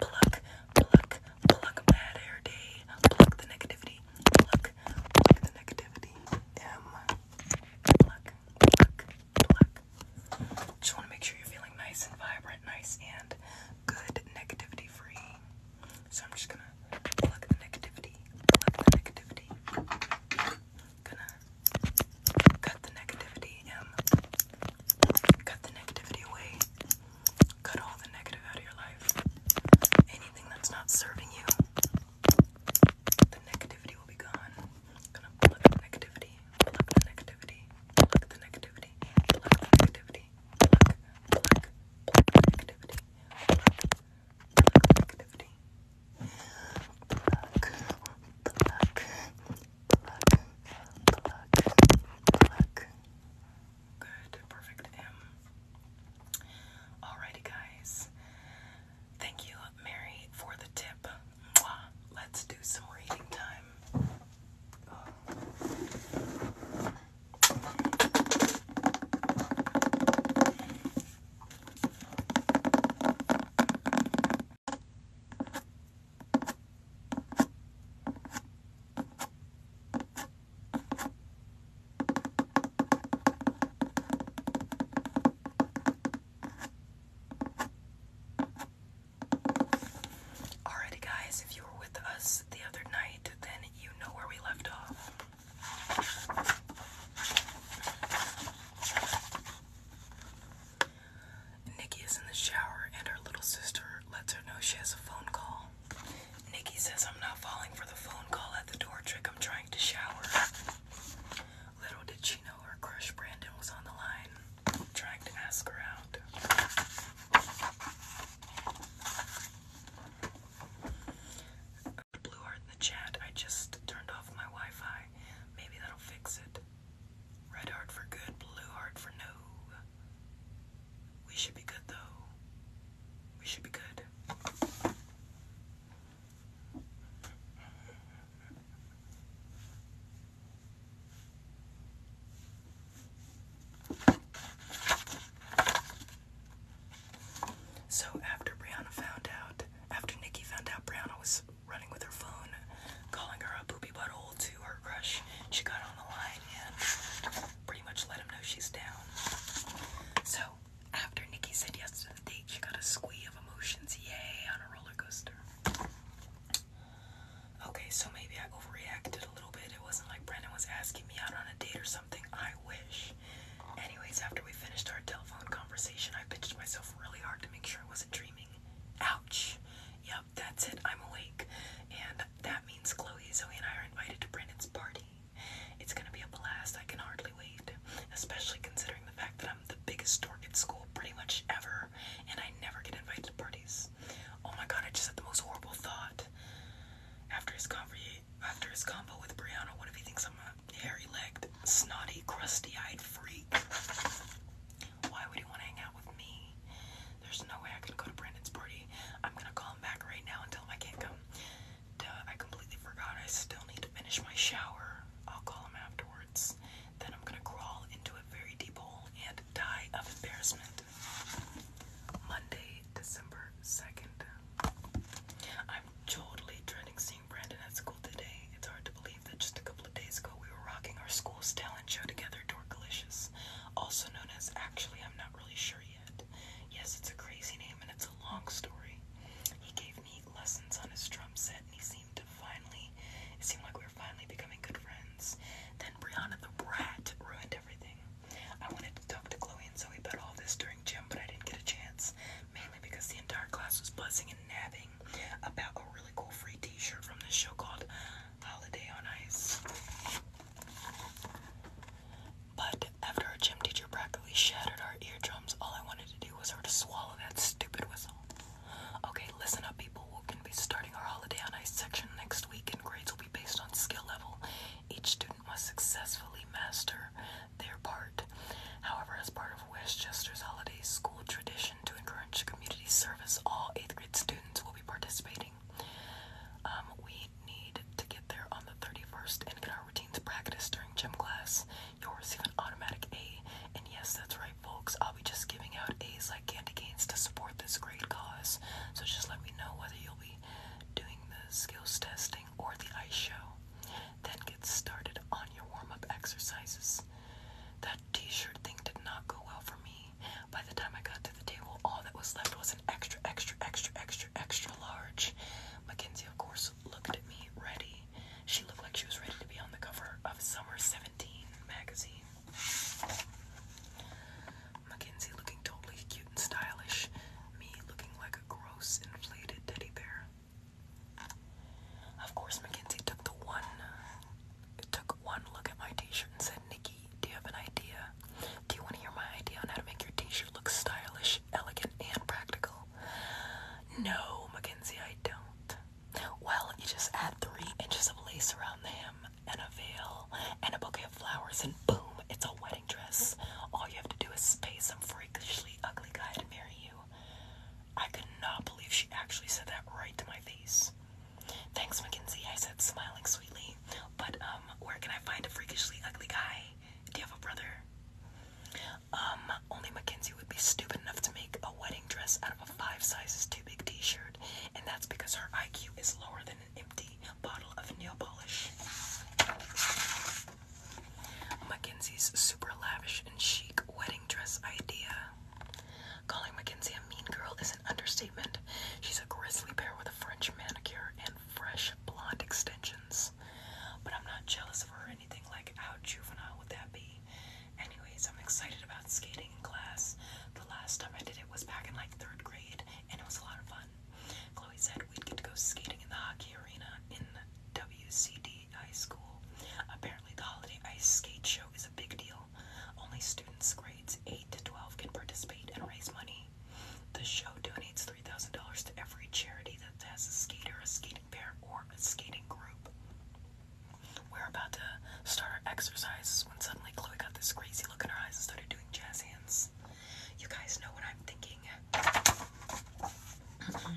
Pluck, pluck, pluck bad hair day. Pluck the negativity. Pluck, pluck the negativity. M. Pluck, pluck, pluck. Just want to make sure you're feeling nice and vibrant, nice and good, negativity free. So I'm just gonna pluck the negativity, pluck the negativity. Gonna cut the negativity. M. Cut the negativity away. Cut all the negative out of your life. Anything that's not serving you, the negativity will be gone. i the negativity, plug the negativity, plug the negativity, plug the negativity, plug, plug, plug the negativity, plug, plug the Good, perfect M. Alrighty, guys. Thank you, Mary, for the tip. Let's do some reading time. Alrighty, guys, if you were with us the other night, then you know where we left off. Nikki is in the shower, and her little sister lets her know she has a phone call. Nikki says, I'm not falling for the phone call at the door trick, I'm trying to shower. Little did she know her crush Brandon was on the line, trying to ask her out. Blue in the chat, I just turned off my Wi Fi. Maybe that'll fix it. Red heart for good, blue heart for no. We should be good though. We should be good. So after Brianna found out, after Nikki found out Brianna was running with her phone, calling her a poopy butthole to her crush. She got on the line and pretty much let him know she's down. So after Nikki said yes to the date, she got a squee of emotions. Yay, on a roller coaster. Okay, so maybe I overreacted a little bit. It wasn't like Brandon was asking me out on a date or something. I wish. Anyways, after we finished our telephone conversation, I pitched myself really hard to make sure I wasn't dreaming. Ouch! Yeah, that's it. I'm awake. And that means Chloe, Zoe, and I are invited to Brandon's party. It's gonna be a blast. I can hardly wait. Especially considering the fact that I'm the biggest dork at school pretty much ever, and I never get invited to parties. Oh my god, I just had the most horrible thought. After his conversation, after his combo with Brianna, what if he thinks I'm a hairy-legged, snotty, crusty-eyed freak? Why would he want to hang out with me? There's no way I could go to Brandon's party. I'm gonna call him back right now and tell him I can't come. Duh, I completely forgot. I still need to finish my shower. I'll call him afterwards. Then I'm gonna crawl into a very deep hole and die of embarrassment. Monday, December 2nd. I'm totally dreading seeing Brandon at school today. It's hard to believe that just a couple couple days ago, we were rocking our school's talent show together, Dorkalicious, also known as Actually, I'm Not Really Sure Yet. Yes, it's a crazy name and it's a long story. He gave me lessons on his drum set and he seemed to finally, it seemed like we were finally becoming good friends. Then Brianna the Brat ruined everything. I wanted to talk to Chloe and Zoe about all this during gym, but I didn't get a chance, mainly because the entire class was buzzing and nabbing about a really cool free t shirt from this show called holiday on ice. But after our gym teacher practically shattered our eardrums, all I wanted to do was sort of swallow that stupid whistle. Okay, listen up, people. We're going to be starting our holiday on ice section next week, and grades will be based on skill level. Each student must successfully master their part. However, as part of Westchester's holiday school tradition to encourage community service, all 8th grade students will be participating. Um, we need to get there on the 31st and get our routines practiced during gym class. You'll receive an automatic A. And yes, that's right, folks. I'll be just giving out A's like candy canes to support this great cause. So just let me know whether you'll be doing the skills testing or the ice show. Then get started on your warm up exercises. That t shirt thing did not go well for me. By the time I got to the table, all that was left was an extra, extra, extra, extra, extra large. Mackenzie, of course, looked at me ready. She looked like she was ready to be on the cover of Summer 17 magazine. Mackenzie looking totally cute and stylish. Me looking like a gross, inflated teddy bear. Of course, Mackenzie took the one, took one look at my t-shirt and said, Nikki, do you have an idea? Do you want to hear my idea on how to make your t-shirt look stylish, elegant, and practical? No, McKenzie, I don't. Well, you just add three inches of lace around the hem and a veil and a bouquet of flowers and boom, it's a wedding dress. All you have to do is pay some freakishly ugly guy to marry you. I could not believe she actually said that right to my face. Thanks, Mackenzie, I said, smiling sweetly. But, um, where can I find a freakishly ugly guy? Do you have a brother? Um, only Mackenzie would be stupid enough to make a wedding dress out of a five sizes too big t shirt, and that's because her IQ is lower than an empty bottle of nail polish. Mackenzie's super lavish and chic wedding dress idea. Calling Mackenzie a mean girl is an understatement. She's a grizzly bear with a French manicure and fresh blonde extensions. But I'm not jealous of her anything. Like, how juvenile would that be? Anyways, I'm excited about skating in class. The last time I did it was back in like third grade, and it was a lot of fun. Chloe said we'd get to go skating in the hockey arena in WCD High School. Apparently, the holiday ice skate show is a big deal, only students grades 8 to 12 can participate and raise money. The show donates $3,000 to every charity that has a skater, a skating pair, or a skating group. We're about to start our exercises when suddenly Chloe got this crazy look in her eyes and started doing jazz hands. You guys know what I'm thinking.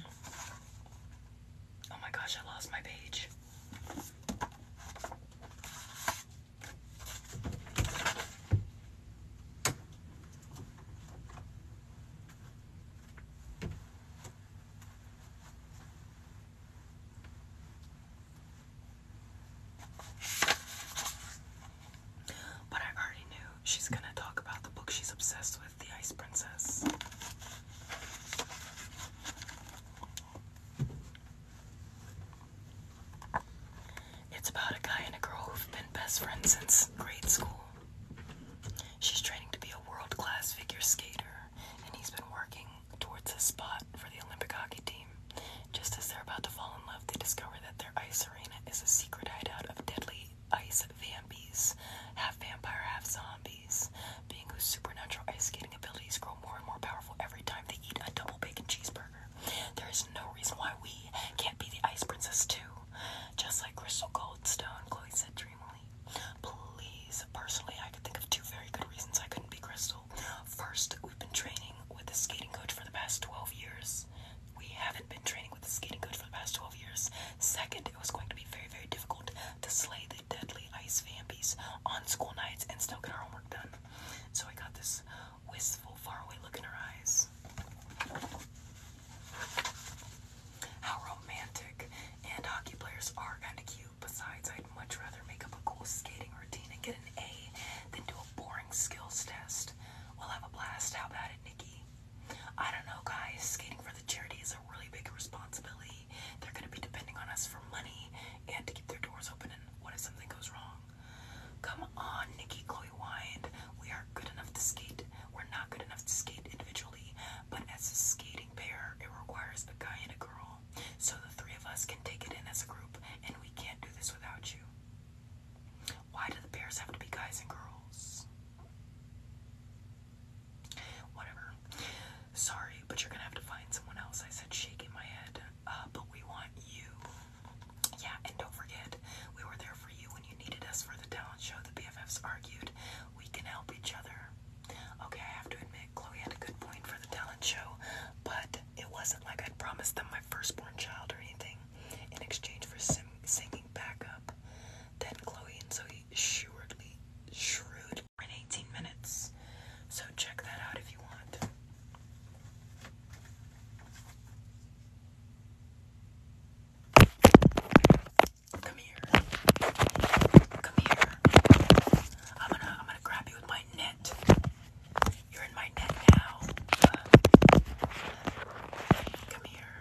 oh my gosh, I lost my page. But I already knew she's gonna talk about the book she's obsessed with, The Ice Princess. It's about a guy and a girl who've been best friends since grade school. She's training to be a world class figure skater, and he's been working towards a spot for the Olympic hockey team. Just as they're about to fall in love, they discover that their ice arena is a secret hideout of deadly ice vampires half vampire, half zombies being supernatural ice skating abilities grow more and more powerful every time they eat a double bacon cheeseburger. There is no reason why we can't be the Ice Princess too. Just like Crystal Goldstone, Chloe said dreamily. Please, personally, I could think of two very good reasons I couldn't be Crystal. First, we've been training with a skating coach for the past 12 years. We haven't been training with a skating coach for the past 12 years. Second, it was going to be very, very difficult to slay the deadly ice vampies on school nights and still get our homework done. So I got this wistful, faraway look in her eyes. How romantic. And hockey players are kind of cute. Besides, I'd much rather make up a cool skating routine and get an A than do a boring skills test. We'll have a blast. How about it, Nikki? I don't know, guys. Skating for the charity is a really big responsibility. They're going to be depending on us for money and to keep their doors open what if something goes wrong? Come on, Nikki Chloe Wyand. We are good enough to skate. We're not good enough to skate individually, but as a skating pair, it requires a guy and a girl. So the three of us can take it in as a group, and we can't do this without you. Why do the pairs have to be guys and girls? Whatever sorry, but you're gonna have to find someone else. I said, shaking my head, uh, but we want you. Yeah, and don't forget, we were there for you when you needed us for the talent show. The BFFs argued, we can help each other. Okay, I have to admit, Chloe had a good point for the talent show, but it wasn't like I'd promised them my firstborn child or anything in exchange for singing backup. Then Chloe and Zoe shrewdly, shrewd, in 18 minutes. So check that out if you want. Come here. Come here. I'm gonna I'm gonna grab you with my net. You're in my net now. come here.